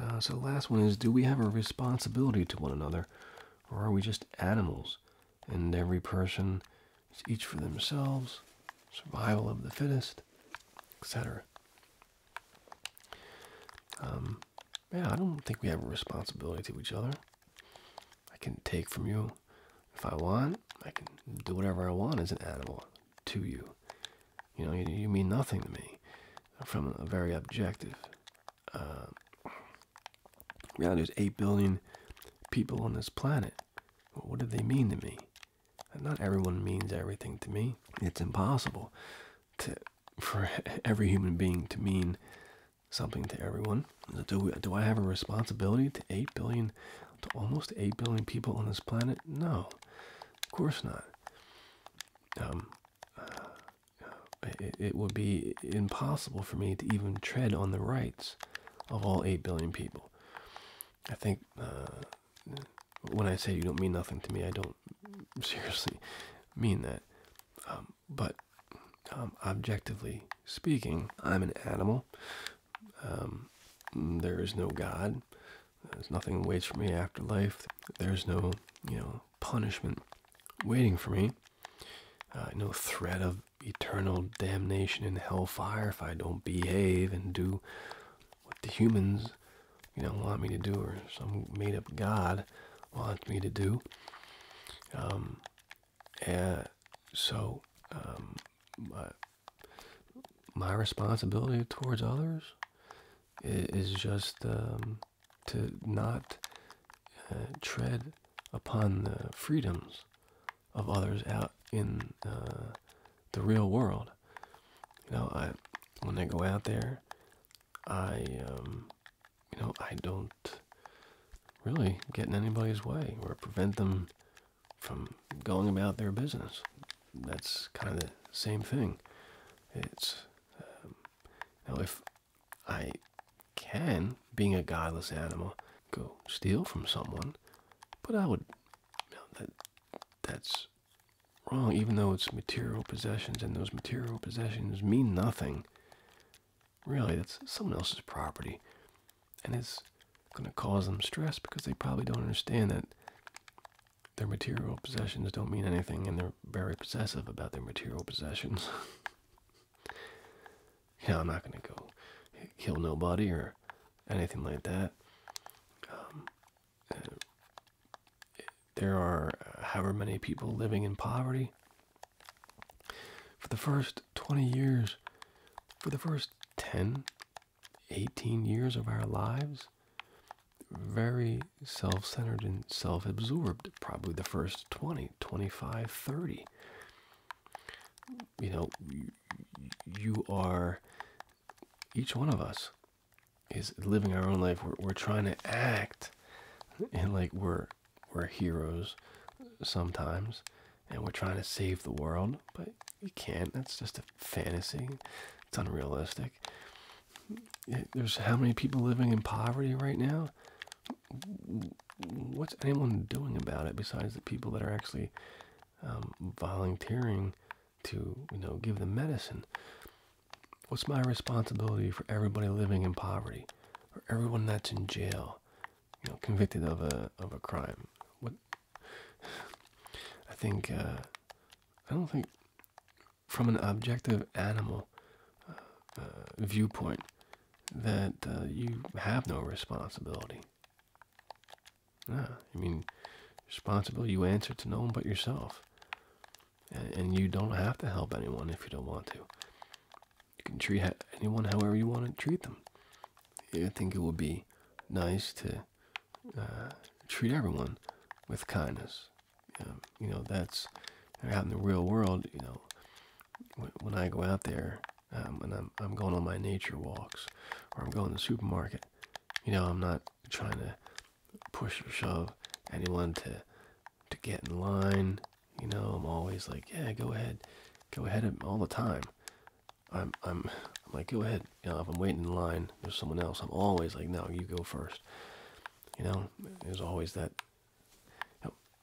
Uh, so the last one is, do we have a responsibility to one another, or are we just animals and every person is each for themselves, survival of the fittest, etc. Um, yeah, I don't think we have a responsibility to each other. I can take from you if I want. I can do whatever I want as an animal to you. You know, you, mean nothing to me from a very objective uh, yeah, there's 8 billion people on this planet. what do they mean to me? not everyone means everything to me. It's impossible (laughs) for every human being to mean something to everyone. Do, I have a responsibility to 8 billion, to almost 8 billion people on this planet? No, of course not. Um, uh, it would be impossible for me to even tread on the rights of all 8 billion people. I think uh, when I say you don't mean nothing to me, I don't (laughs) seriously mean that. Um, but um, objectively speaking, I'm an animal. Um, there is no God. There's nothing waits for me after life. There's no, you know, punishment waiting for me. Uh, no threat of eternal damnation in hellfire if I don't behave and do what the humans, you know, want me to do, or some made-up god wants me to do. Um, and so, um, my, responsibility towards others is, just um, to not uh, tread upon the freedoms of others out in uh, the real world. You know, I when I go out there, I um, you know I don't really get in anybody's way or prevent them from going about their business. That's kind of the same thing. It's um, you now if I can, being a godless animal, go steal from someone, but I would, that that's wrong. Even though it's material possessions, and those material possessions mean nothing. Really, that's someone else's property, and it's going to cause them stress because they probably don't understand that their material possessions don't mean anything, and they're very possessive about their material possessions. (laughs) Yeah, I'm not gonna go kill nobody or anything like that. Um, uh, there are however many people living in poverty. For the first 20 years, for the first 10, 18 years of our lives, very self centered and self absorbed, probably the first 20, 25, 30 you know you are each one of us is living our own life we're, we're trying to act and like we're we're heroes sometimes and we're trying to save the world but you can't that's just a fantasy it's unrealistic there's how many people living in poverty right now what's anyone doing about it besides the people that are actually um, volunteering to you know give them medicine? What's my responsibility for everybody living in poverty for everyone that's in jail, you know, convicted of a of a crime? What (sighs) I think uh, I don't think from an objective animal uh, uh, viewpoint that you have no responsibility. Ah, I mean, responsible you answer to no one but yourself. And, you don't have to help anyone if you don't want to. You can treat anyone however you want to treat them. I think it would be nice to uh, treat everyone with kindness. Um, you know, that's out in the real world. You know, when I go out there, um, when I'm, I'm going on my nature walks or I'm going to the supermarket. You know, I'm not trying to push or shove anyone to to get in line. You know, I'm always like, yeah, go ahead, go ahead all the time. I'm I'm I'm like, go ahead. You know, if I'm waiting in line, there's someone else. I'm always like, no, you go first. You know, there's always that.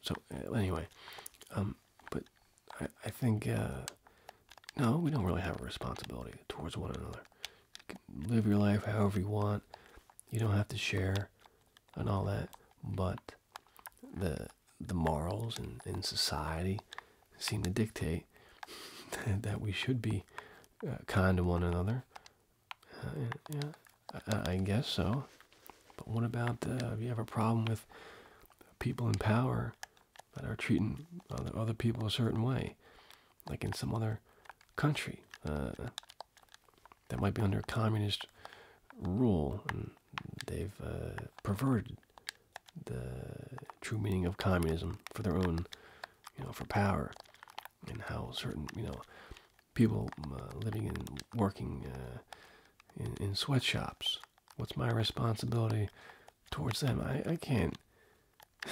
So anyway, um, but I, I think, uh, no, we don't really have a responsibility towards one another. live your life however you want. You don't have to share and all that. But the the morals in, in society seem to dictate (laughs) that we should be uh, kind to one another. Uh, yeah, I, guess so. But what about if you have a problem with people in power that are treating other, people a certain way, like in some other country uh, that might be under communist rule, and they've uh, perverted the true meaning of communism for their own, you know, for power, and how certain, you know, people uh, living and working in, sweatshops. What's my responsibility towards them? I, I can't (sighs)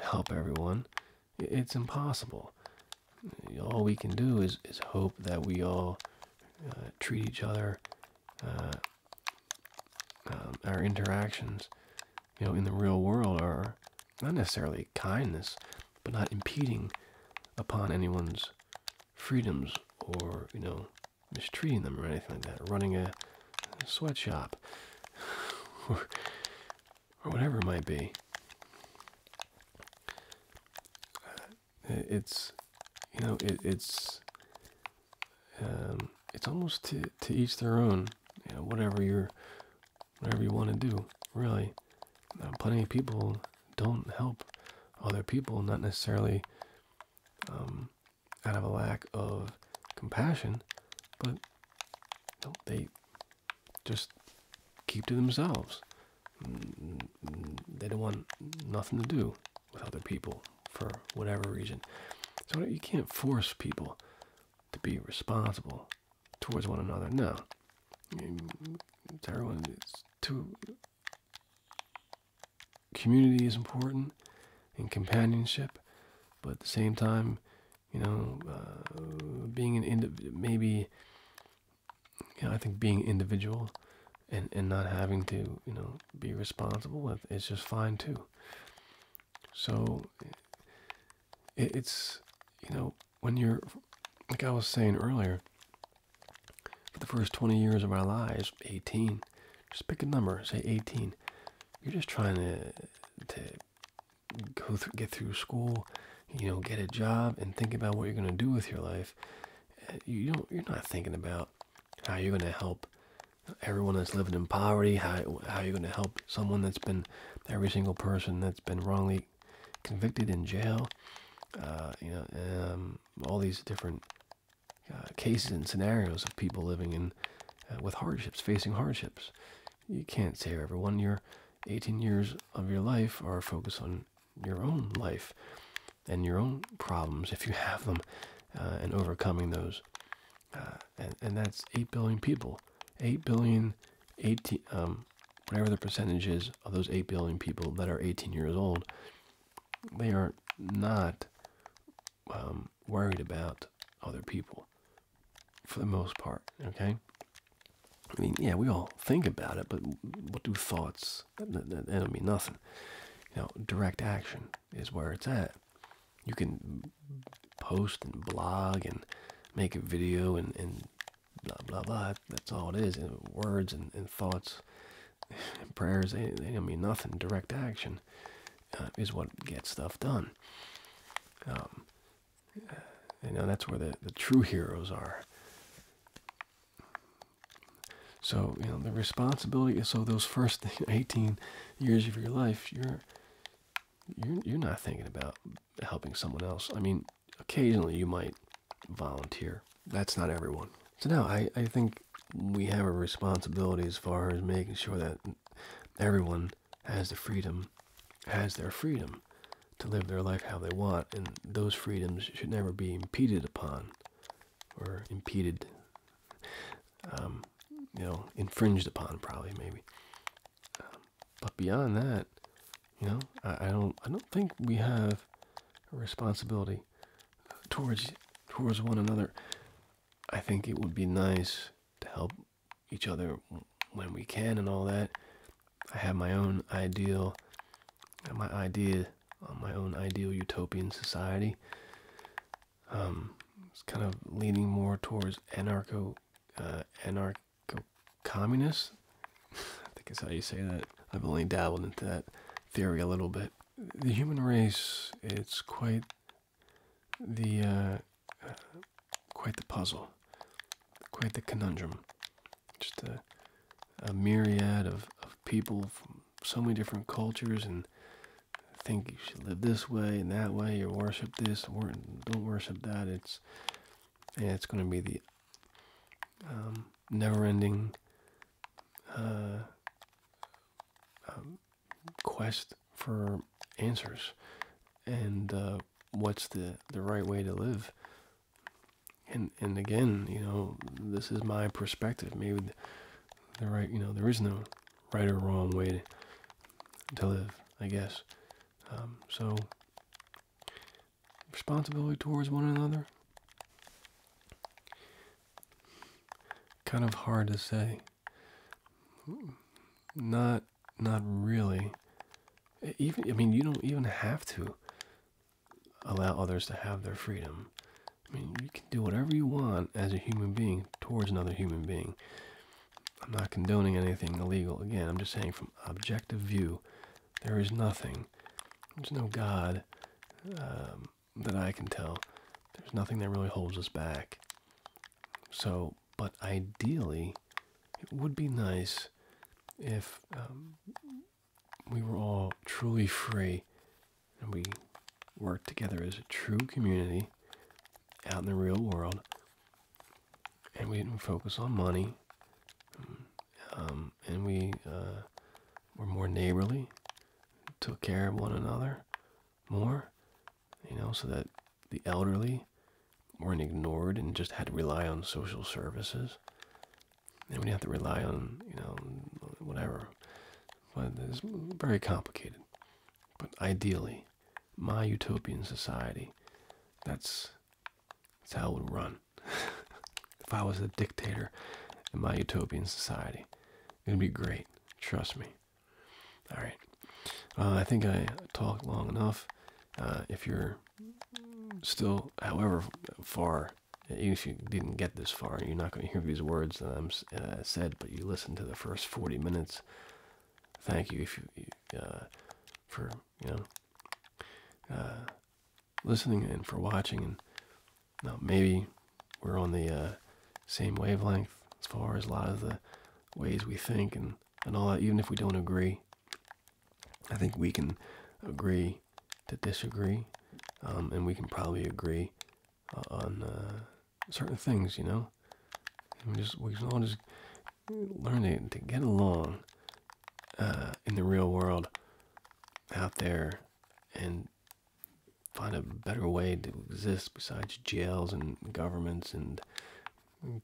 help everyone. It's impossible. All we can do is, is hope that we all uh, treat each other, uh, um, our interactions, you know, in the real world are not necessarily kindness, but not impeding upon anyone's freedoms or, you know, mistreating them or anything like that, running a, sweatshop, (sighs) or, whatever it might be. Uh, it's, you know, it's, um, it's almost to, to each their own, you know, whatever you're, whatever you want to do, really. plenty of people don't help other people, not necessarily um, out of a lack of compassion, but they just keep to themselves. They don't want nothing to do with other people for whatever reason. So you can't force people to be responsible towards one another. No, I mean, it's everyone. is too community is important and companionship, but at the same time, you know, uh, being an individual maybe, you know, I think being individual and, and not having to, you know, be responsible is just fine too. So it's, you know, when you're, like I was saying earlier, for the first 20 years of our lives, 18, just pick a number, say 18. You're just trying to to go get through school, you know, get a job, and think about what you're gonna do with your life. Uh, you don't. You're not thinking about how you're gonna help everyone that's living in poverty. How how you're gonna help someone that's been every single person that's been wrongly convicted in jail. Uh, you know, um, all these different uh, cases and scenarios of people living in uh, with hardships, facing hardships. You can't save everyone. Your 18 years of your life are focused on your own life and your own problems if you have them uh, and overcoming those. and, that's 8 billion people. 8 billion, 18, um, whatever the percentage is of those 8 billion people that are 18 years old, they are not um, worried about other people for the most part, okay? I mean, yeah, we all think about it, but what do thoughts? That, don't mean nothing. You know, direct action is where it's at. You can post and blog and make a video and, and blah, blah, blah. That's all it is. And words and, and thoughts (sighs) prayers they, they don't mean nothing direct action uh, is what gets stuff done um, uh, you know that's where the, the true heroes are so you know the responsibility is so those first (laughs) 18 years of your life you're you're, you're not thinking about helping someone else i mean occasionally you might volunteer that's not everyone so now I, I think we have a responsibility as far as making sure that everyone has the freedom, has their freedom to live their life how they want, and those freedoms should never be impeded upon or impeded, um, you know, infringed upon, probably maybe. Um, but beyond that, you know, I, I don't, I don't think we have a responsibility towards towards one another I think it would be nice to help each other when we can and all that. I have my own ideal, my idea on uh, my own ideal utopian society. Um, it's kind of leaning more towards anarcho, uh, anarcho communist. (laughs) I think is how you say that. I've only dabbled into that theory a little bit. The human race, it's quite the uh, quite the puzzle, quite the conundrum. Just a, a myriad of, of people from so many different cultures and think you should live this way and that way or worship this or don't worship that. It's and it's going to be the um, never-ending uh, um, quest for answers and uh, what's the the right way to live and and again you know this is my perspective maybe the, right you know there is no right or wrong way to, live i guess um, so responsibility towards one another kind of hard to say not, not really. Even, I mean, you don't even have to allow others to have their freedom. I mean, you can do whatever you want as a human being towards another human being. I'm not condoning anything illegal. Again, I'm just saying from objective view, there is nothing. There's no God. Um, that I can tell, there's nothing that really holds us back. So, but ideally, it would be nice if um, we were all truly free and we worked together as a true community out in the real world and we didn't focus on money um, and we uh, were more neighborly took care of one another more, you know, so that the elderly weren't ignored and just had to rely on social services. And we didn't have to rely on, you know, whatever. But it's very complicated. But ideally, my utopian society, that's, that's how it would run. (laughs) if I was a dictator in my utopian society, it'd be great. Trust me. All right. Uh, I think I talked long enough. Uh, if you're still, however far, if you didn't get this far, you're not going to hear these words that I'm uh, said, but you listened to the first 40 minutes. Thank you if for you know listening and for watching, and you maybe we're on the uh, same wavelength as far as a lot of the ways we think and, and all that, even if we don't agree. I think we can agree to disagree, um, and we can probably agree uh, on uh, certain things, you know. we just we can all just learn to, to get along in the real world out there, and find a better way to exist besides jails and governments and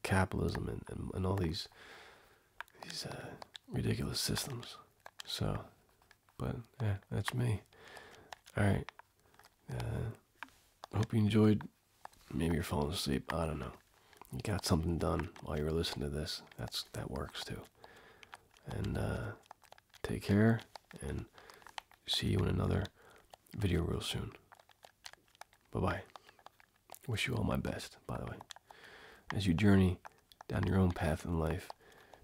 capitalism and, and, all these these uh, ridiculous systems. So, but yeah, that's me. All right. Uh, hope you enjoyed. Maybe you're falling asleep. I don't know. You got something done while you were listening to this. That's that works too. And uh, take care. And see you in another video real soon. Bye bye. Wish you all my best, by the way, as you journey down your own path in life,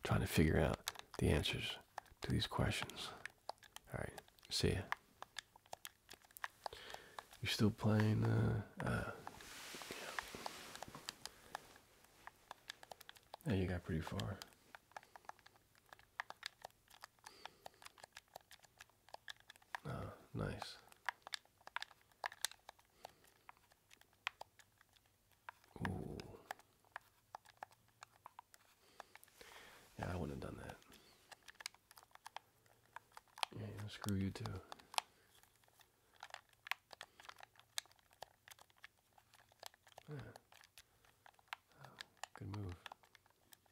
trying to figure out the answers to these questions. All right, see ya. You're still playing, uh, uh, yeah. Yeah, you got pretty far. Ah, nice. Ooh. Yeah, I wouldn't have done that. Yeah, screw you too. Yeah. Oh, good move.